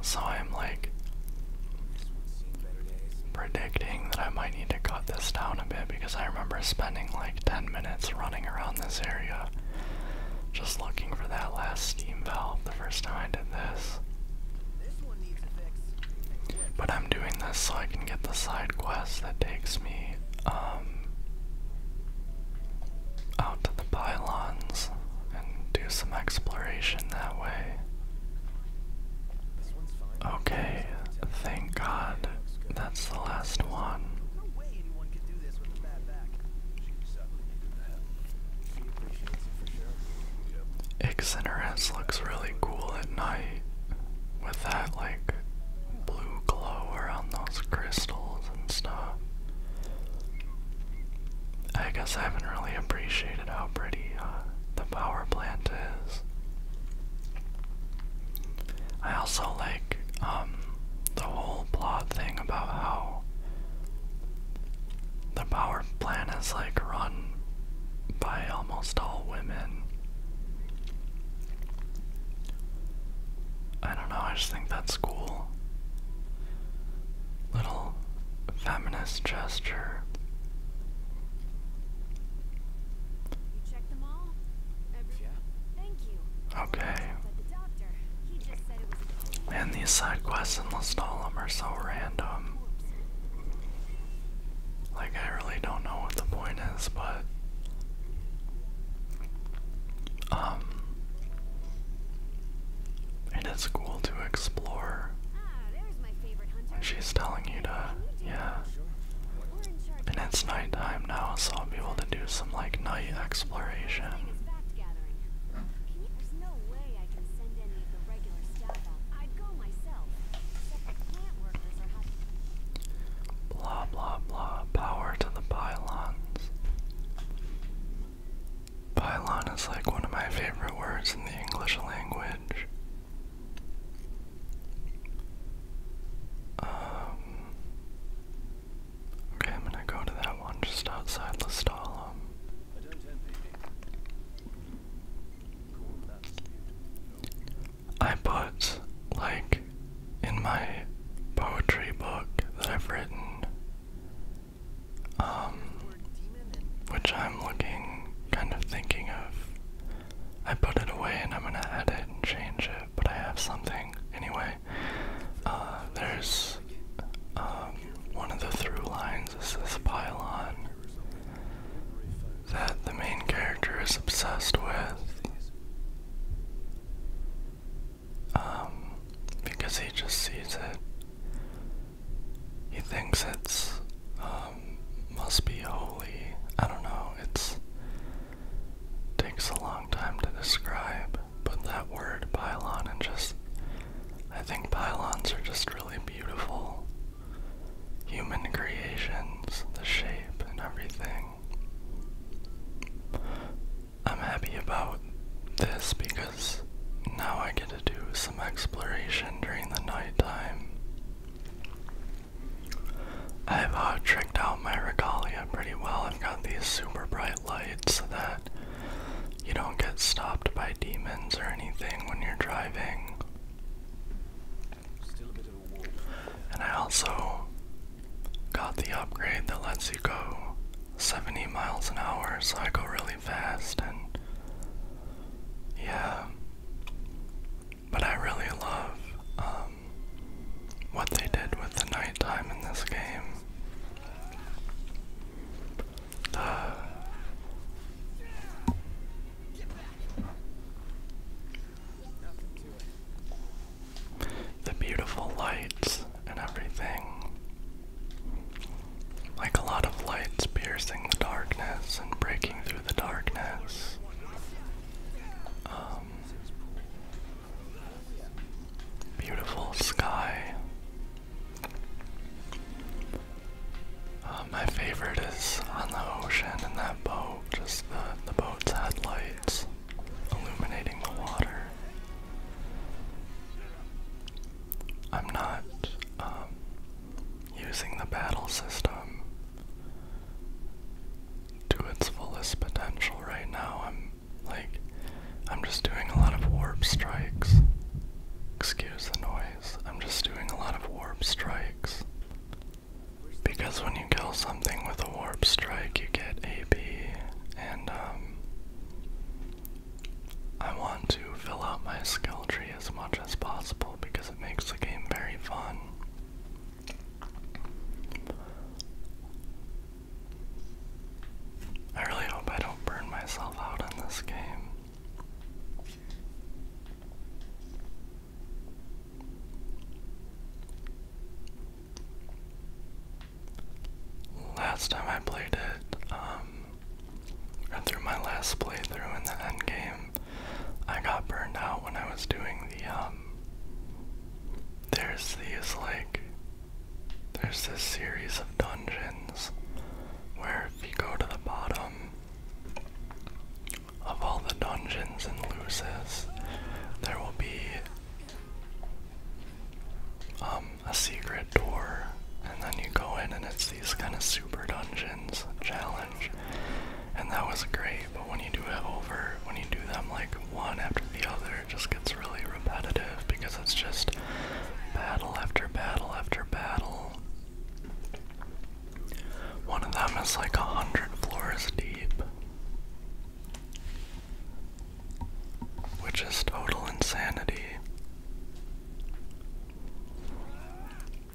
So I'm like predicting that I might need to cut this down a bit because I remember spending like 10 minutes running around this area just looking for that last steam valve the first time I did this. But I'm doing this so I can get the side quest that takes me um, out to the pylons and do some exploration that way. Okay, thank God that's the last one. Ixinaress looks really cool at night with that, like blue glow around those crystals and stuff. I guess I haven't really appreciated how pretty uh, the power plant is. I also like um, the whole plot thing about how the power plant is like run by almost all women. I don't know, I just think that's cool. Little feminist gesture. You checked them all? Okay. And these side quests in Lestalem are so random. Like, I really don't know what the point is, but um, and it's cool to explore when she's telling you to, yeah. And it's nighttime now, so I'll be able to do some like night exploration. Blah blah blah. Power to the pylons. Pylon is like one of my favorite words in the English language. Um, okay, I'm gonna go to that one just outside Lestalum. I put, like, in my poetry book that I've written, um, which I'm looking, kind of thinking of, I put it away and I'm gonna edit and change it, but I have something anyway. Uh, there's, um, one of the through lines is this pylon that the main character is obsessed with. Um, because he just sees it. He thinks it's, um, must be holy. I don't know, it's takes a long time to describe, but that word pylon and just I think pylons are just really beautiful. Human creations, the shape and everything. I'm happy about this because now I get to do some exploration during the nighttime. I've uh, tricked out my regalia pretty well. I've got these super bright lights so that you don't get stopped by demons or anything when you're driving. And I also got the upgrade that lets you go 70 miles an hour, so I go really fast and yeah. But I really love um, what they did with the nighttime in this game. The beautiful lights and everything. Like a lot of lights piercing the darkness and breaking through the darkness. Um, beautiful sky. Uh, my favorite is on the ocean in that boat, just the, the boat's headlights illuminating the water. I'm not um, using the battle system to its fullest potential right now. I'm like, I'm just doing a lot of warp strikes. Excuse the noise. I'm just doing a lot of warp strikes because when you kill something with a warp strike, you get AP, and um, I want to fill out my skill tree as much as possible because it makes the game very fun. I really hope I don't burn myself out in this game. Last time I played it, or um, through my last playthrough in the end I got burned out when I was doing the, um, there's these, like, there's this series of dungeons where if you go to the bottom of all the dungeons and loses, there will be um, a secret door, and then you go in and it's these kind of super dungeons challenge, and that was great. But when you do it over, when you do them like one after the other, it just gets really repetitive because it's just battle after battle after battle. One of them is like a hundred floors deep. Which is total insanity.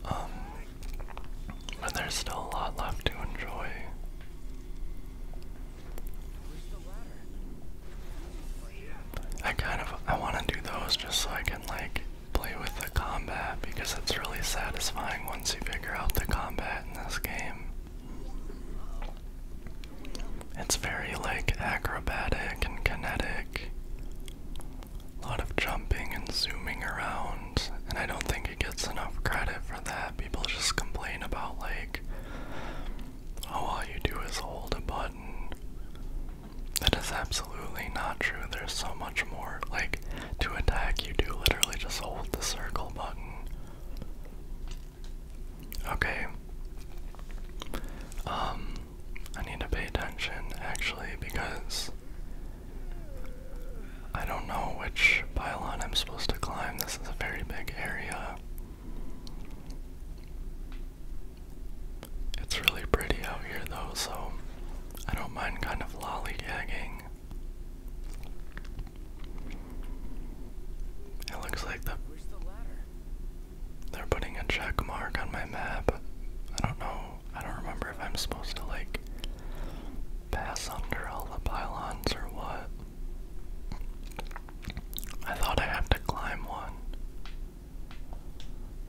Um, but there's still a lot left to enjoy. I kind of I want to do those just so I can like play with the combat because it's really satisfying once you figure out the combat in this game. It's very like acrobatic and kinetic. A lot of jumping and zooming around, and I don't think it gets enough credit for that. People just complain about, like, oh, all you do is hold a button. That is absolutely not true. There's so much more. Like, to attack, you do literally just hold the circle button. Okay. Um, I need to pay attention actually because I don't know which pylon I'm supposed to climb. This is a very big area. It's really pretty out here though, so I don't mind kind of lollygagging. It looks like the, they're putting a check mark on my map. I don't know. I don't remember if I'm supposed to like pass under all the pylons or what. I thought I had to climb one.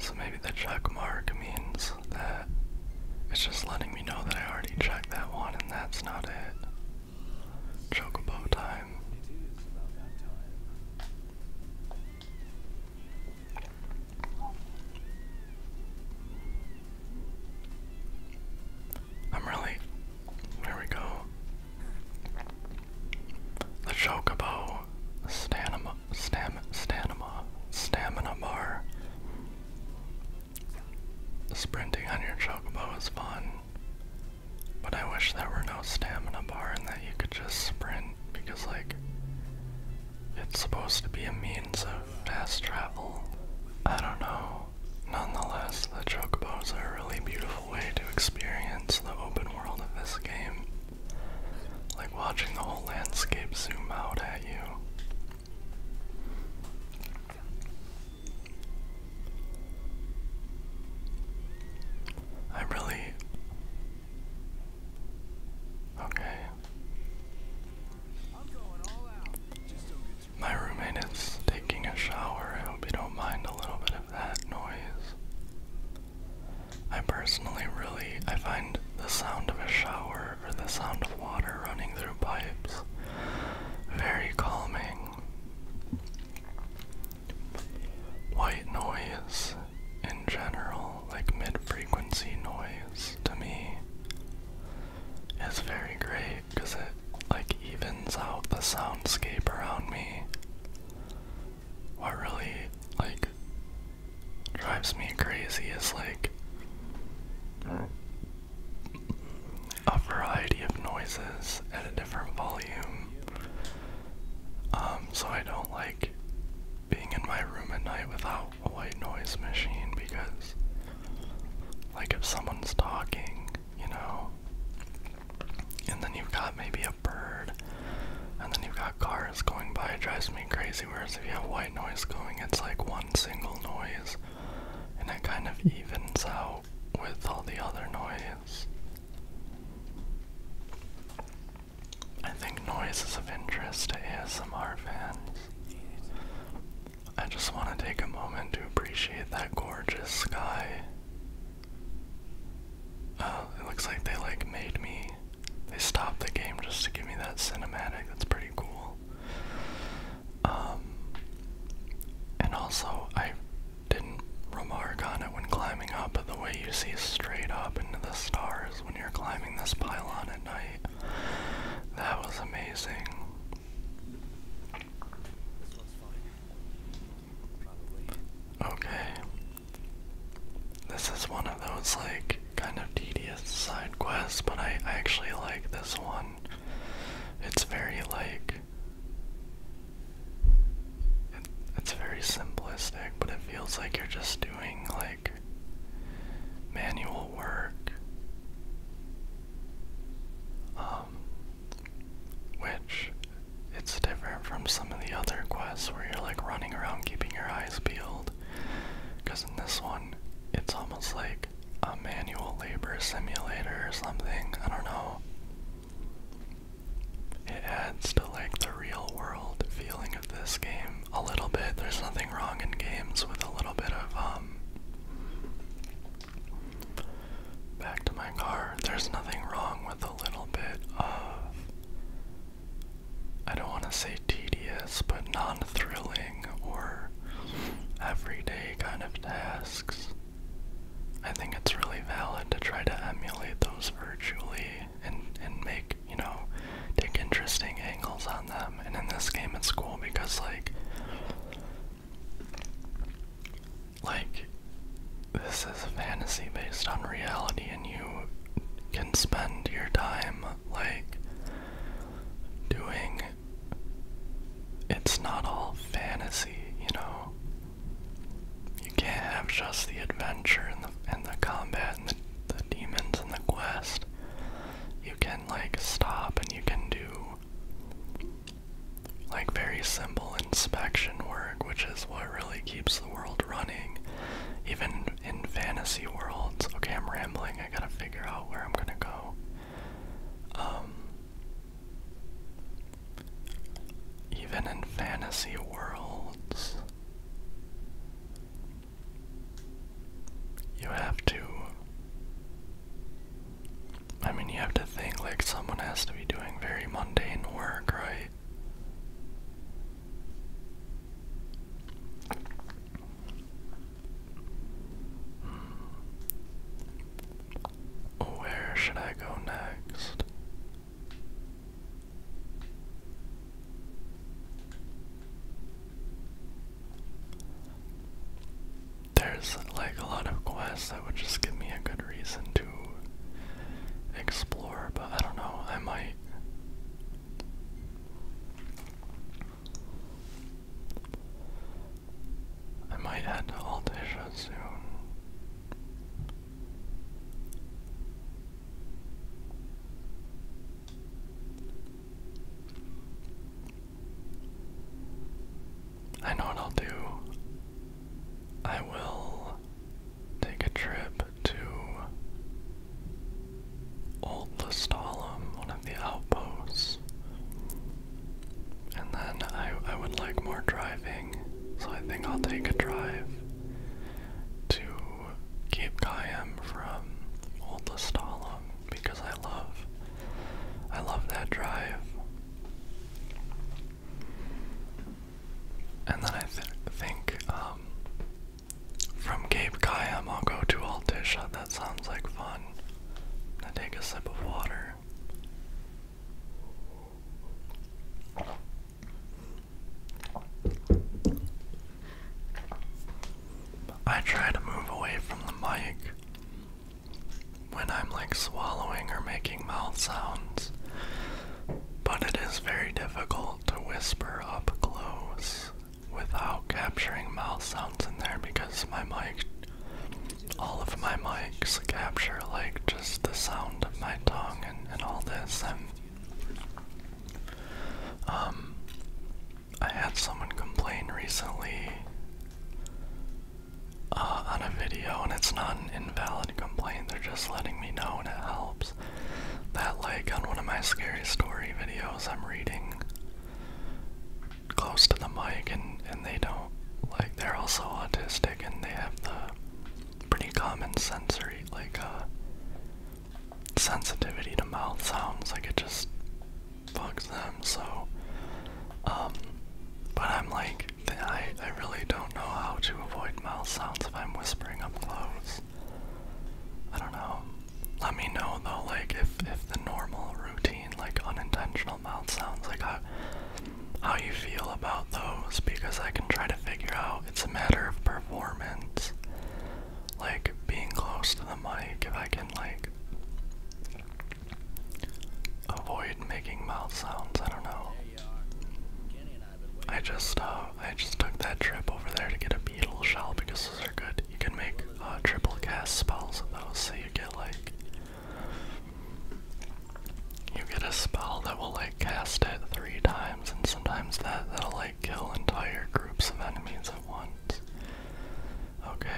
So maybe the check mark means that it's just letting me know that I already checked that one and that's not it. Chocobo time. I'm really. There we go. The Chocobo Stanima Stam Stamina Bar. Sprinting on your chocobo is fun, but I wish there were no stamina bar and that you could just sprint because, like, it's supposed to be a means of fast travel. I don't know. Nonetheless, the chocobos are a really beautiful way to experience the open world of this game. Like watching the whole landscape zoom out at you. I'm really okay. My roommate is taking a shower. I hope you don't mind a little bit of that noise. I personally really I find the sound of a shower or the sound of water running through pipes very calming. White noise in general, like mid frequency noise, to me is very great because it like evens out the soundscape around me. What really like drives me crazy is like a variety of noises at a different volume. Um, so I don't like being in my room at night without a white noise machine because, like, if someone's talking, you know, and then you've got maybe a bird, and then you've got cars going by, it drives me crazy. Whereas if you have white noise going, it's like one single noise, and it kind of evens out with all the other noise. I think noise is of interest to ASMR fans. I just want to take a moment to appreciate that gorgeous sky. Oh, it looks like they like made me. They stopped the game just to give me that cinematic. That's pretty cool. Um, and also, I didn't remark on it when climbing up, but the way you see straight up into the stars when you're climbing this pylon at night, that was amazing. Okay. This is one of those, like, kind of tedious side quests, but I actually like this one it's very like it, it's very simplistic, but it feels like you're just doing like manual work. Um which it's different from some of the other quests where you're like running around keeping your eyes peeled. Because in this one, it's almost like a manual labor simulator or something. I don't know. It adds to like the real world feeling of this game a little bit. There's nothing wrong in games with a little bit of um, back to my car. There's nothing wrong with a little bit of I don't want to say tedious, but non-thrilling or everyday kind of tasks. I think it's really valid to try to emulate those virtually and and make, you know, take interesting angles on them. And in this game it's school because like like this is a fantasy based on reality and you can spend your time like doing it's not all fantasy, you know. You can't have just the adventure and the and the combat and the, the demons and the quest. You can like stop and you can do like very simple inspection work, which is what really keeps the world running. Even in fantasy worlds. Okay, I'm rambling. I gotta figure out where I'm gonna go. Um, even in fantasy worlds, you have to. I mean, you have to think like someone has to be doing very mundane work, right? Where should I go next? There's like a lot of quests that would just give me a good reason to explore, but I don't know, I might. I might head to Altisha soon. I know what will do. I will take a trip to Old one of the outposts, and then I, I would like more driving, so I think I'll take a drive to Cape Cayam from Old because I love I love that drive. And then I think um, from Cape Cayam I'll go to Altisha. That sounds like fun. I take a sip of water. I try to move away from the mic when I'm like swallowing or making mouth sounds, but it is very difficult to whisper up close without capturing mouth sounds in there because my mic all of my mics capture like just the sound of my tongue and, all this and um I had someone complain recently uh, on a video and it's not an invalid complaint they're just letting me know and it helps that like on one of my scary story videos I'm reading close to the mic and, and they don't like they're also autistic and they have the pretty common sensory like uh sensitivity to mouth sounds like it just fucks them so um but I'm like I, I really don't know how to avoid mouth sounds if I'm whispering up close. I don't know. Let me know though like if if the normal routine, like unintentional mouth sounds, like how, you feel about those, because I can try to figure out it's a matter of performance, like being close to the mic, if I can, like, avoid making mouth sounds, I don't know. I just, uh, I just took that trip over there to get a beetle shell because those are good. You can make, uh, triple cast spells of those, so you get, like, you get a spell that will like cast it three times, and sometimes that that'll like kill entire groups of enemies at once. Okay.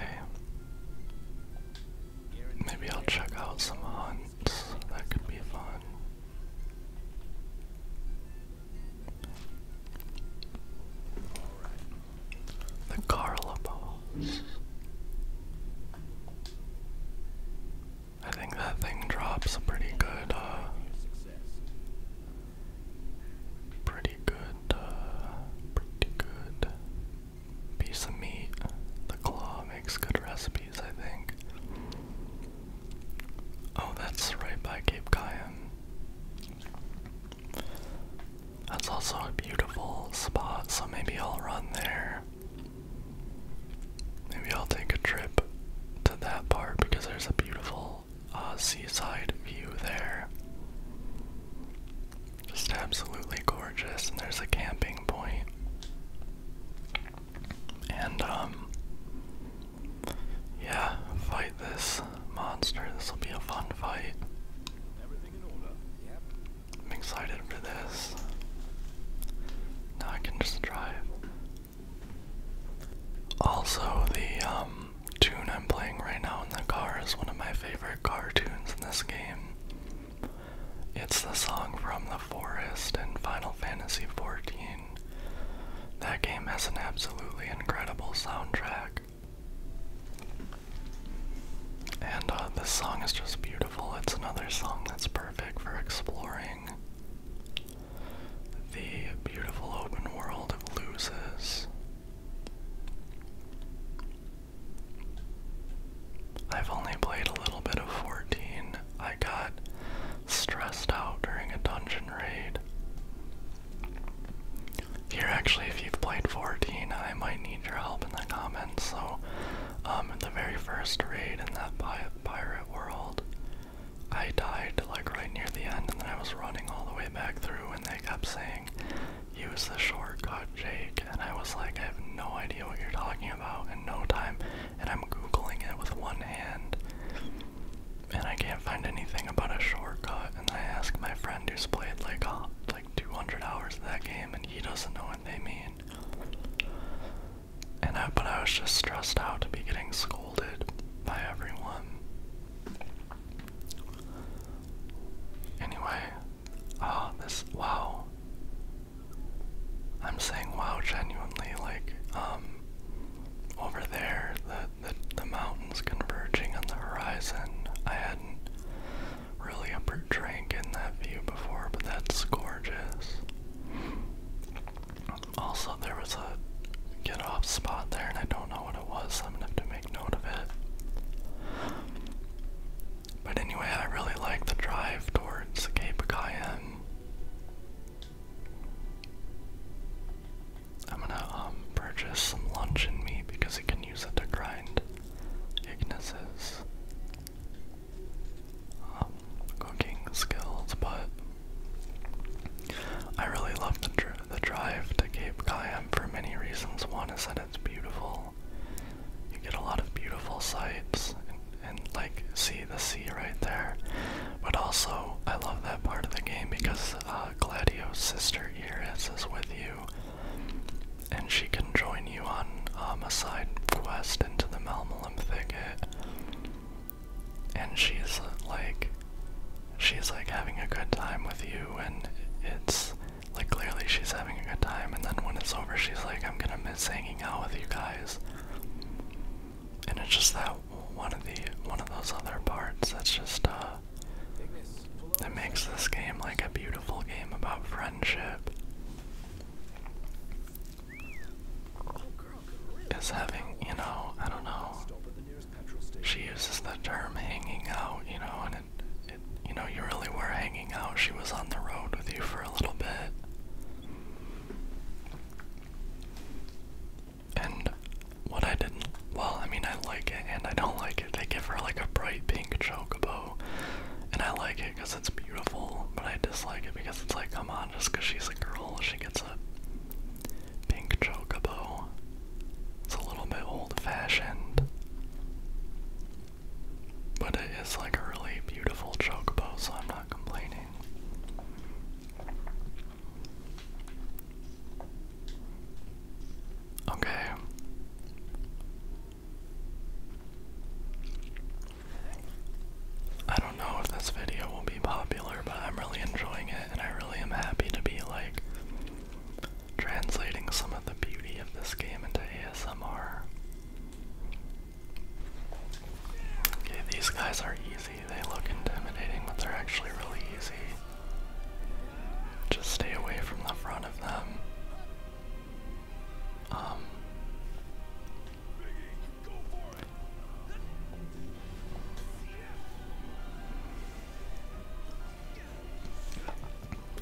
Maybe I'll check out some hunts. That could be fun. The Carla balls. I think that thing drops a pretty good, uh, pretty good, uh, pretty good piece of meat. The claw makes good recipes, I think. Oh, that's right by Cape Cayenne. That's also a beautiful spot, so maybe I'll run there. Maybe I'll take a trip to that part because there's a beautiful uh, seaside view there. Just absolutely gorgeous, and there's a camping point. And, um, yeah, fight this monster. This will be a fun fight. I'm excited for this. Now I can just drive. Also, the um, tune I'm playing right now in the car is one of my favorite car tunes in this game. It's the song from The Forest in Final Fantasy XIV. That game has an absolutely incredible soundtrack. And uh, this song is just beautiful. It's another song that's perfect for exploring the beautiful open world of loses. I've only played a little bit of 14. I got stressed out during a dungeon raid. Here, actually, if you've played 14, I might need need your help in the comments. So, um, in the very first raid in that pi pirate world, I died like right near the end, and then I was running all the way back through, and they kept saying, "Use the shortcut, Jake," and I was like, "I have no idea what you're talking about," in no time, and I'm googling it with one hand, and I can't find anything about a shortcut, and I ask my friend who's played like a like 200 hours of that game, and he doesn't know what they mean. And I, but I was just stressed out to be getting scolded by everyone. Anyway, oh, this wow. I'm saying wow genuinely, like um, over there, the the, the mountains converging on the horizon. I hadn't really a portraying getting that view before, but that's gorgeous. Also, there was a get off spot there, and I don't know what it was, I'm gonna have to make note of it. But anyway, I really like the drive towards Cape Cayenne. I'm gonna um, purchase some luncheon meat because you can use it to grind Ignis's um, cooking skills, but I really love the, the drive to Cape Cayam for many reasons. One is that it's beautiful. You get a lot of beautiful sights and, and like see the sea right there. But also, I love that part of the game because uh, Gladio's sister Iris is with you and she can join you on um, a side quest into the Malmalim Thicket. And she's like, she's like having a good time with you, and it's like clearly she's having a good time. And then when it's over, she's like, I'm gonna miss hanging out with you guys. And it's just that one of the one of those other parts that's just uh, that makes this game like a beautiful game about friendship is having, you know, I don't know. She uses the term hanging out, you know, and it, it you know, you really were hanging out. She was on the road with you for a little bit. And what I didn't, well, I mean, I like it and I don't like it. They give her like a bright pink bow, and I like it because it's beautiful, but I dislike it because it's like, come on, just because she's a girl, she gets a pink bow. It's a little bit old fashioned. But it is like a really beautiful bow, so I'm not complaining. Okay. I don't know if this video will be popular, but I'm really enjoying it and I really am happy to be like translating some of the beauty of this game into ASMR. Okay, these guys are easy. They look intimidating, but they're actually really easy. Just stay away from the front of them. Um,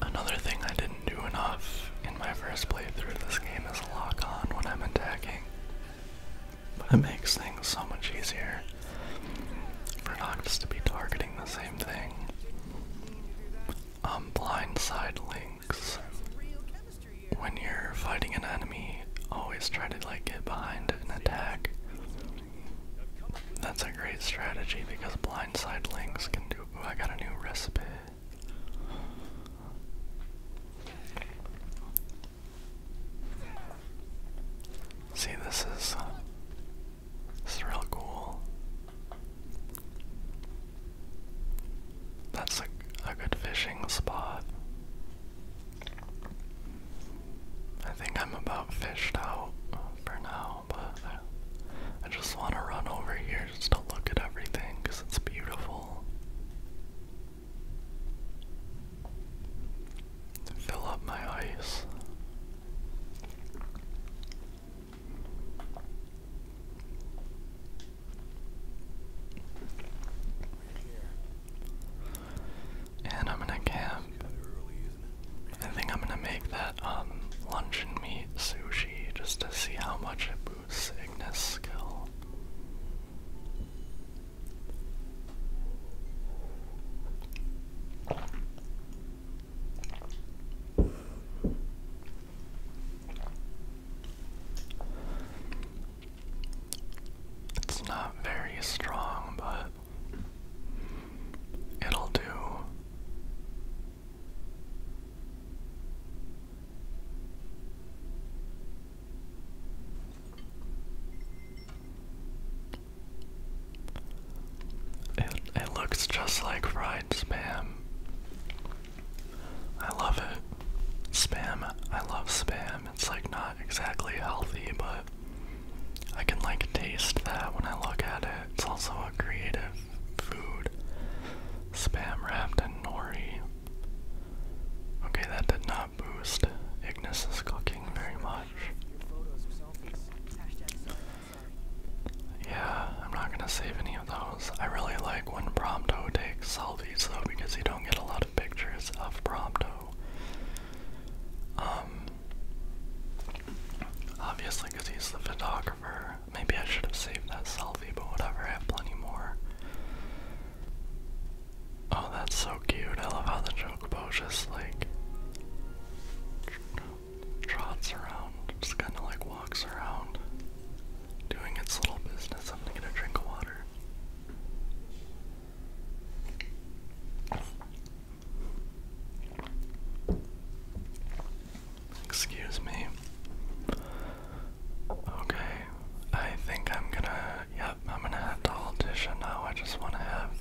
another thing I didn't do enough in my first playthrough of this game is lock on when I'm attacking. it makes things so much easier for Noctis to be targeting the same thing um, blindside links. When you're fighting an enemy, always try to like get behind an attack. That's a great strategy because blindside links can do. I got a new recipe. See, this is, uh, this is real cool. That's like a good fishing spot. I think I'm about fished out for now, but I, I just want to run over here just to look at everything because it's beautiful. Fill up my ice. And I'm gonna camp. I think I'm gonna make that um luncheon meat sushi just to see how much it boosts Ignis skill. It's not very strong, but it'll do. It, it looks just like fried spam. I love it. Spam, I love spam. It's like not exactly healthy, but I can like taste that when I look at it. It's also a creative food. Spam wrapped in nori. Okay, that did not boost Ignis's cooking very much. Yeah, I'm not gonna save any of those. I really like when Prompto takes selfies though because you don't get a lot of pictures of Prompto. Um, obviously because he's the photographer. Maybe I should have saved that selfie, but whatever, I have plenty more. Oh, that's so cute. I love how the Chocobo's just like trots around, just kind of like walks around, doing its little business. I'm gonna get a drink of water. Excuse me. Okay, I think I'm gonna. Yep, I'm gonna have to audition now. I just wanna have.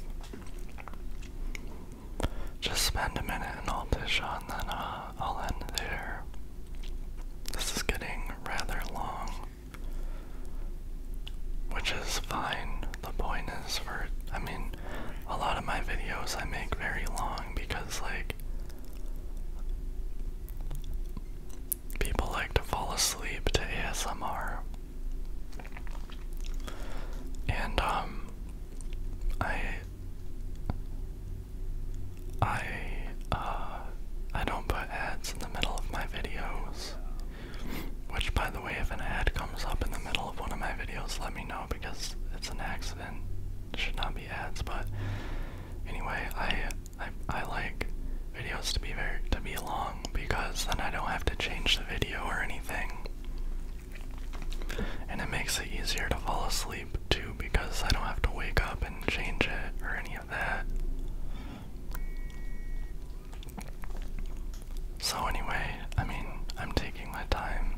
Just spend a minute and audition, then, uh, I'll end there. This is getting rather long, which is fine. The point is for, I mean, a lot of my videos I make very long because, like, people like to fall asleep to ASMR. And, um, I I uh I don't put ads in the middle of my videos. Which by the way if an ad comes up in the middle of one of my videos let me know because it's an accident. It should not be ads, but anyway, I I I like videos to be very to be long because then I don't have to change the video or anything. And it makes it easier to fall asleep too because I don't have to wake up and change it or any of that. So, anyway, I mean, I'm taking my time.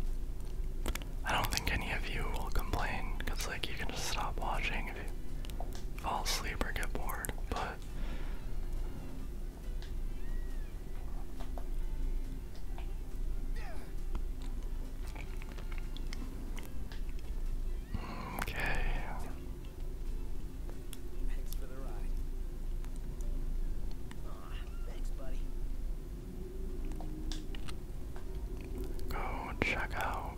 I don't think any of you will complain because, like, you can just stop watching if you fall asleep or get bored, but. Okay. Go check out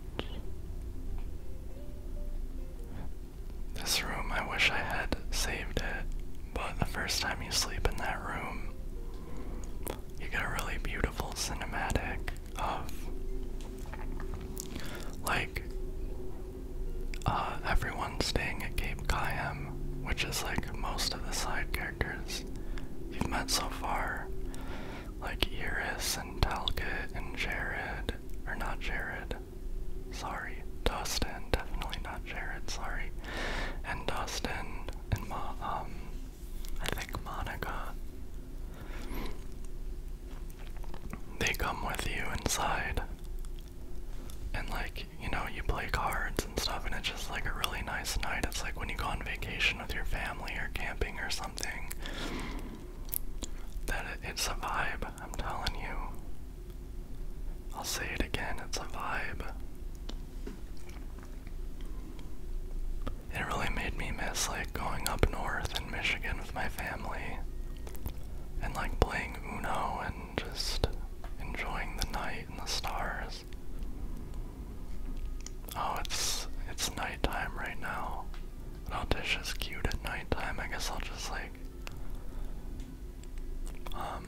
this room. I wish I had saved it, but the first time you sleep in that room, you get a really beautiful cinematic of like uh, everyone staying at Cape Cayam, which is like most of the side characters you've met so far, like Iris and Talcott and Jared, or not Jared, sorry, Dustin, definitely not Jared, sorry, and Dustin and Ma um I think Monica. They come with you inside. And like, you know, you play cards and stuff and it's just like a really nice night. It's like when you go on vacation with your family or camping or something. That it's a vibe, I'm telling you. I'll say it again, it's a vibe. It really made me miss like going up north in Michigan with my family and like playing Uno and just enjoying the night and the stars. Oh, it's it's nighttime right now. Altish is cute at nighttime. I guess I'll just like um,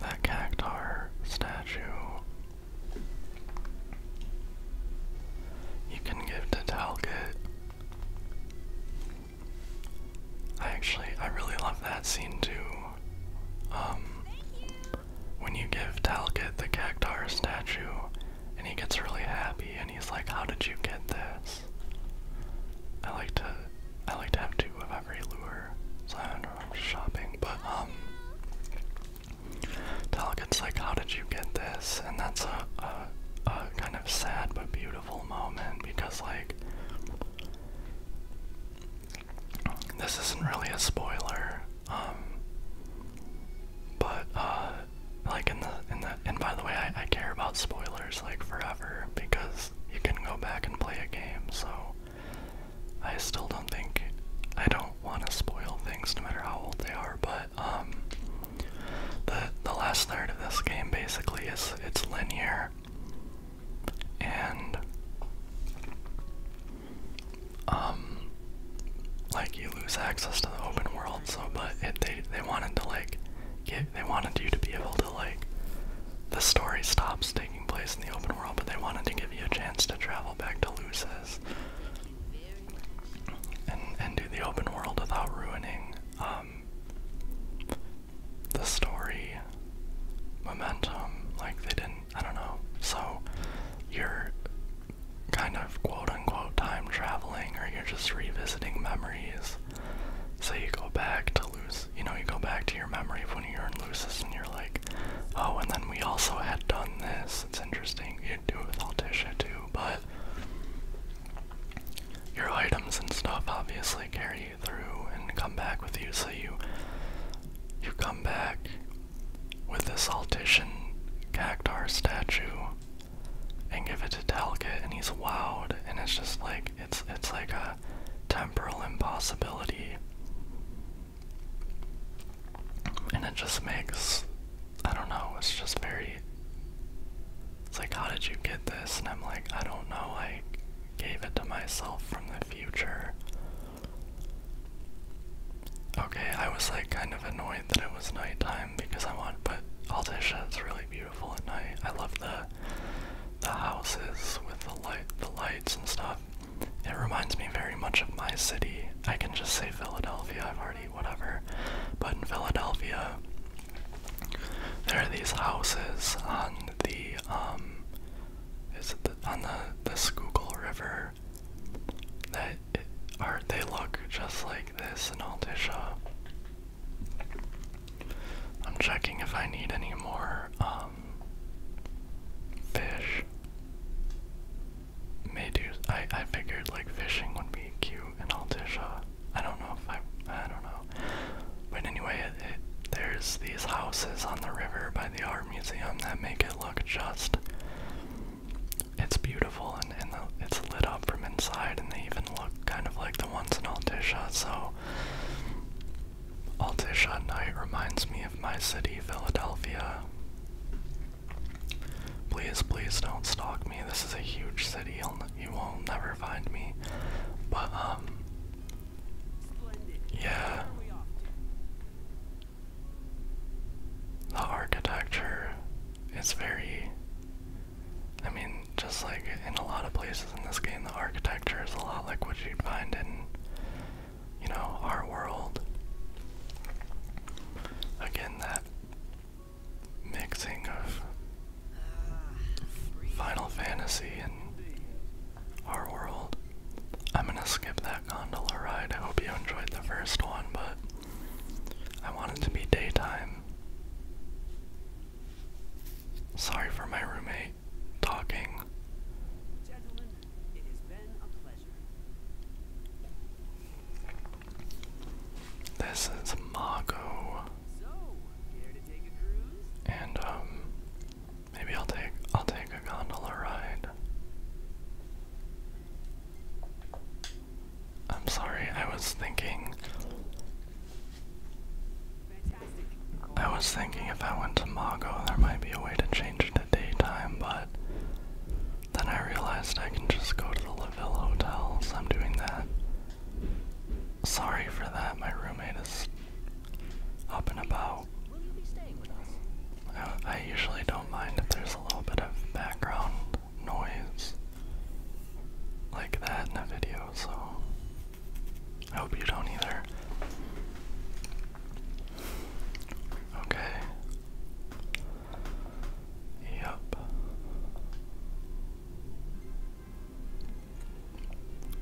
That cactar statue you can give to Talgit. I actually I really love that scene too. Um, when you give Talgit the cactar statue and he gets really happy and he's like, How did you get this? I like to I like to have two of every lure, so I don't know I'm shopping, but um Talget's like how did you get this? And that's a, a kind of sad but beautiful moment because like this isn't really a spoiler, um but uh like in the in the and by the way I care about spoilers like forever because you can go back and play a game, so I still don't think I don't want to spoil things no matter how old they are, but um, the the last third of this game basically is it's linear and um like you lose access to the open world so but they they wanted to like they wanted you to be able to like the story stops taking place in the open world, but they wanted to give you a chance to travel back to Lucis and and do the open world without ruining um, the story momentum. Like they didn't I don't know. So you're kind of quote unquote time traveling or you're just revisiting memories so you go back to lose, you know, you go back to your memory of when you were in Lucis and you're like, oh, and then we also had done this. It's interesting. You do it with Altisha too, but your items and stuff obviously carry you through and come back with you. So you you come back with this Altician Cactar statue and give it to Talca, and he's wowed, and it's just like it's it's like a temporal impossibility. And it just makes I don't know, it's just very It's like how did you get this? And I'm like, I don't know, I gave it to myself from the future. Okay, I was like kind of annoyed that it was nighttime because I want but all this shit's really beautiful beautiful at night. I love the the houses with the light, the lights and stuff. It reminds me very much of my city. I can just say Philadelphia. I've already whatever, but in Philadelphia, there are these houses on the um, is it on the the Schuylkill River that are they look just like this in Altisha. I'm checking if I need any more um fish. Medus I I figured like fishing would be cute in Altisha. Uh, I don't know if I I don't know. But anyway, it, there's these houses on the river by the art museum that make it look just it's beautiful and, and it's lit up from inside and they even look kind of like the ones in Altisha, uh, so Altish night reminds me of my city, Philadelphia. Please, please don't stalk me. This is a huge city. You'll, you will never find me. But, um. Yeah. The architecture is very I mean, just like in a lot of places in this game, the architecture is a lot like what you'd find in, you know, our world. Again, that mixing of Final Fantasy and our world. I'm gonna skip that gondola ride. I hope you enjoyed the first one, but I want it to be daytime. Sorry for my roommate talking. This is Mago. And um maybe I'll take I'll take a gondola ride. I'm sorry, I was thinking I was thinking if I went to Mago, there might be a way to change it to daytime, but then I realized I can just go to the LaVille Hotel, hotels. I'm doing that. Sorry for that, my roommate is up and about. I, usually don't mind if there's a little bit of background noise like that in the video, so I hope you don't either. Okay. Yep.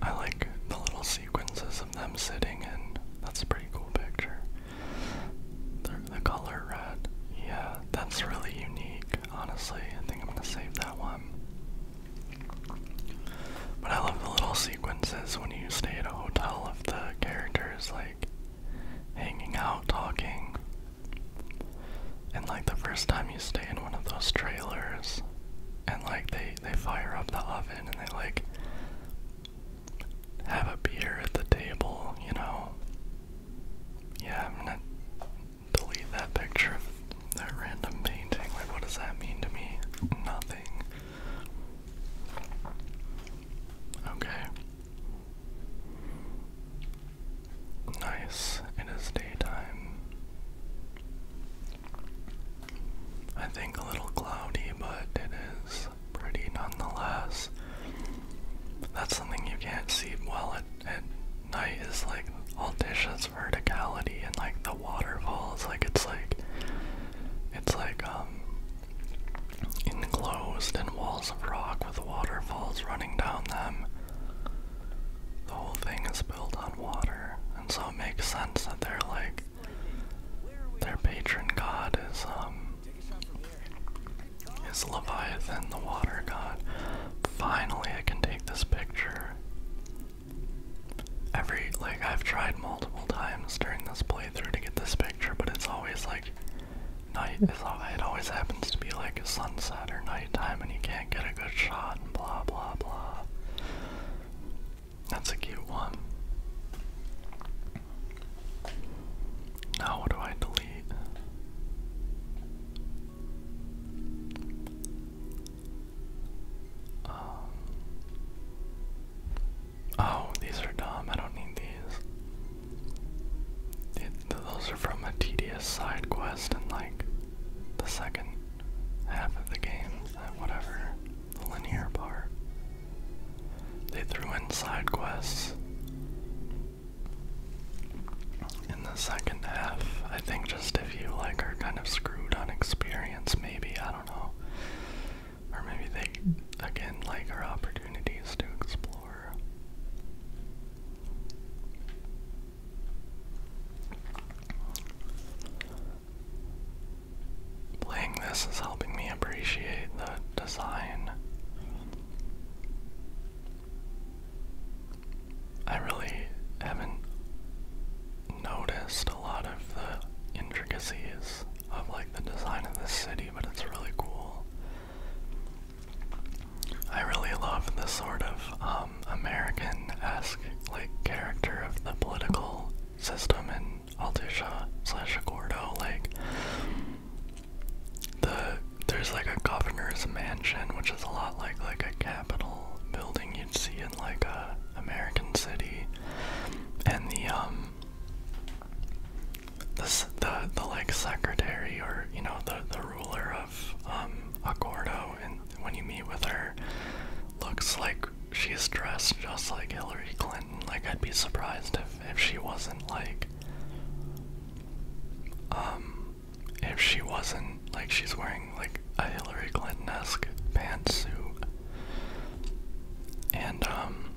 I like the little sequences of them sitting in. That's a pretty cool picture. the color red. Yeah, that's really unique, honestly. I think I'm gonna save that one. But I love the little sequences when you stay at a hotel of the characters like hanging out, talking. And like the first time you stay in one of those trailers and like they they fire up the oven and they like have a beer at the table, you know. Yeah, I'm not delete that picture that random painting. Like, what does that mean to me? Nothing. Okay. Nice. It is daytime. I think a little cloudy, but it is pretty nonetheless. That's something you can't see well at, at night is like all dishes verticality and like the waterfalls, like it's like it's like um, enclosed in walls of rock with waterfalls running down them. The whole thing is built on water, and so it makes sense that they're like their patron god is um is Leviathan the water god. Finally I can take this picture. Every, like, I've tried multiple times during this playthrough to get this picture, but it's always like night. it always happens to be like a sunset or nighttime, and you can't get a good shot, and blah, blah, blah. That's a cute one. Now, what do I delete? Um, oh, these are dumb. I don't need these. those are from a tedious side quest in like the second half of the game. Uh, whatever. The linear part. They threw in side quests in the second half. I think just if you like are kind of screwed on experience maybe, I don't know. Or maybe they, again, like our opportunities to explore. Playing this is helping me appreciate the design. I really haven't noticed a lot of the intricacies of like the design of this city, but it's really cool. I really love the sort of um, American-esque like character of the political system in Altisha slash Gordo. Like the there's like a governor's mansion, which is a lot like like a capital building you'd see in like a American City, and the um, the the, the like secretary or you know the the ruler of um Agordo, and when you meet with her, looks like she's dressed just like Hillary Clinton. Like I'd be surprised if if she wasn't like um if she wasn't like she's wearing like a Hillary Clinton-esque pantsuit. And um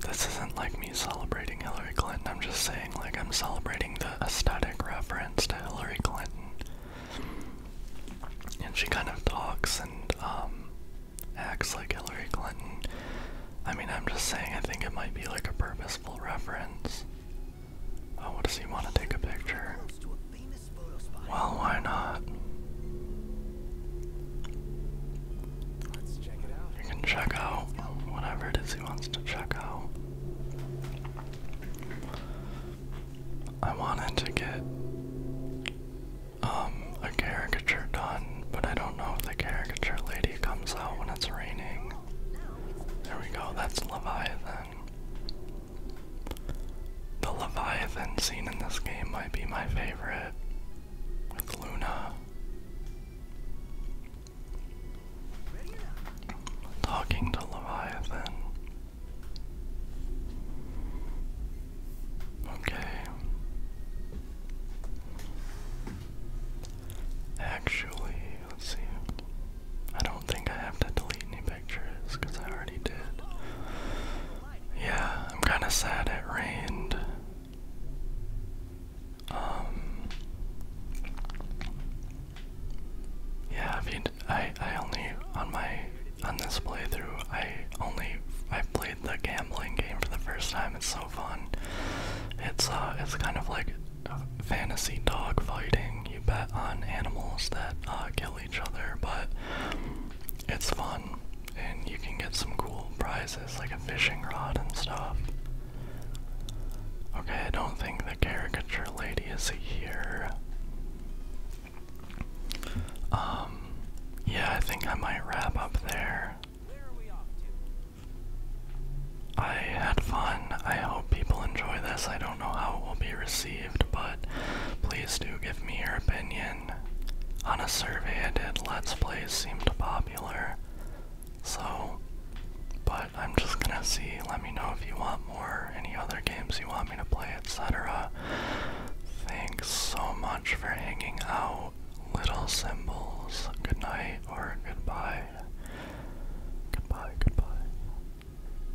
this isn't like me celebrating Hillary Clinton. I'm just saying like I'm celebrating the aesthetic reference to Hillary Clinton. And she kind of talks and um acts like Hillary Clinton. I mean, I'm just saying I think it might be like a purposeful reference. Oh, does he want to take a picture? Well, why not? You can check out whatever it is he wants to check out. I wanted to get um a caricature done, but I don't know if the caricature lady comes out when it's raining. There we go, that's Leviathan. The Leviathan scene in this game might be my favorite with Luna. Talking to Leviathan. Okay. Actually, let's see. I don't think I have to delete any pictures because I already did. Yeah, I'm kind of sad it rained. Um, yeah, I mean, I I only on my on this playthrough I only I played the gambling game for the first time. It's so fun. It's uh, it's kind of like fantasy dog fighting. You bet on animals that uh, kill each other, but it's fun and you can get some cool prizes like a fishing rod and stuff. Okay, I don't think the caricature lady is here. Um, yeah, I think I might wrap up there. I had fun. I hope people enjoy this. I don't know how it will be received but please do give me your opinion. On a survey I did, Let's Plays seemed popular. So, but I'm just gonna see, let me know if you want more, any other games you want me to play, etc. Thanks so much for hanging out, little symbols. Good night or goodbye. Goodbye, goodbye.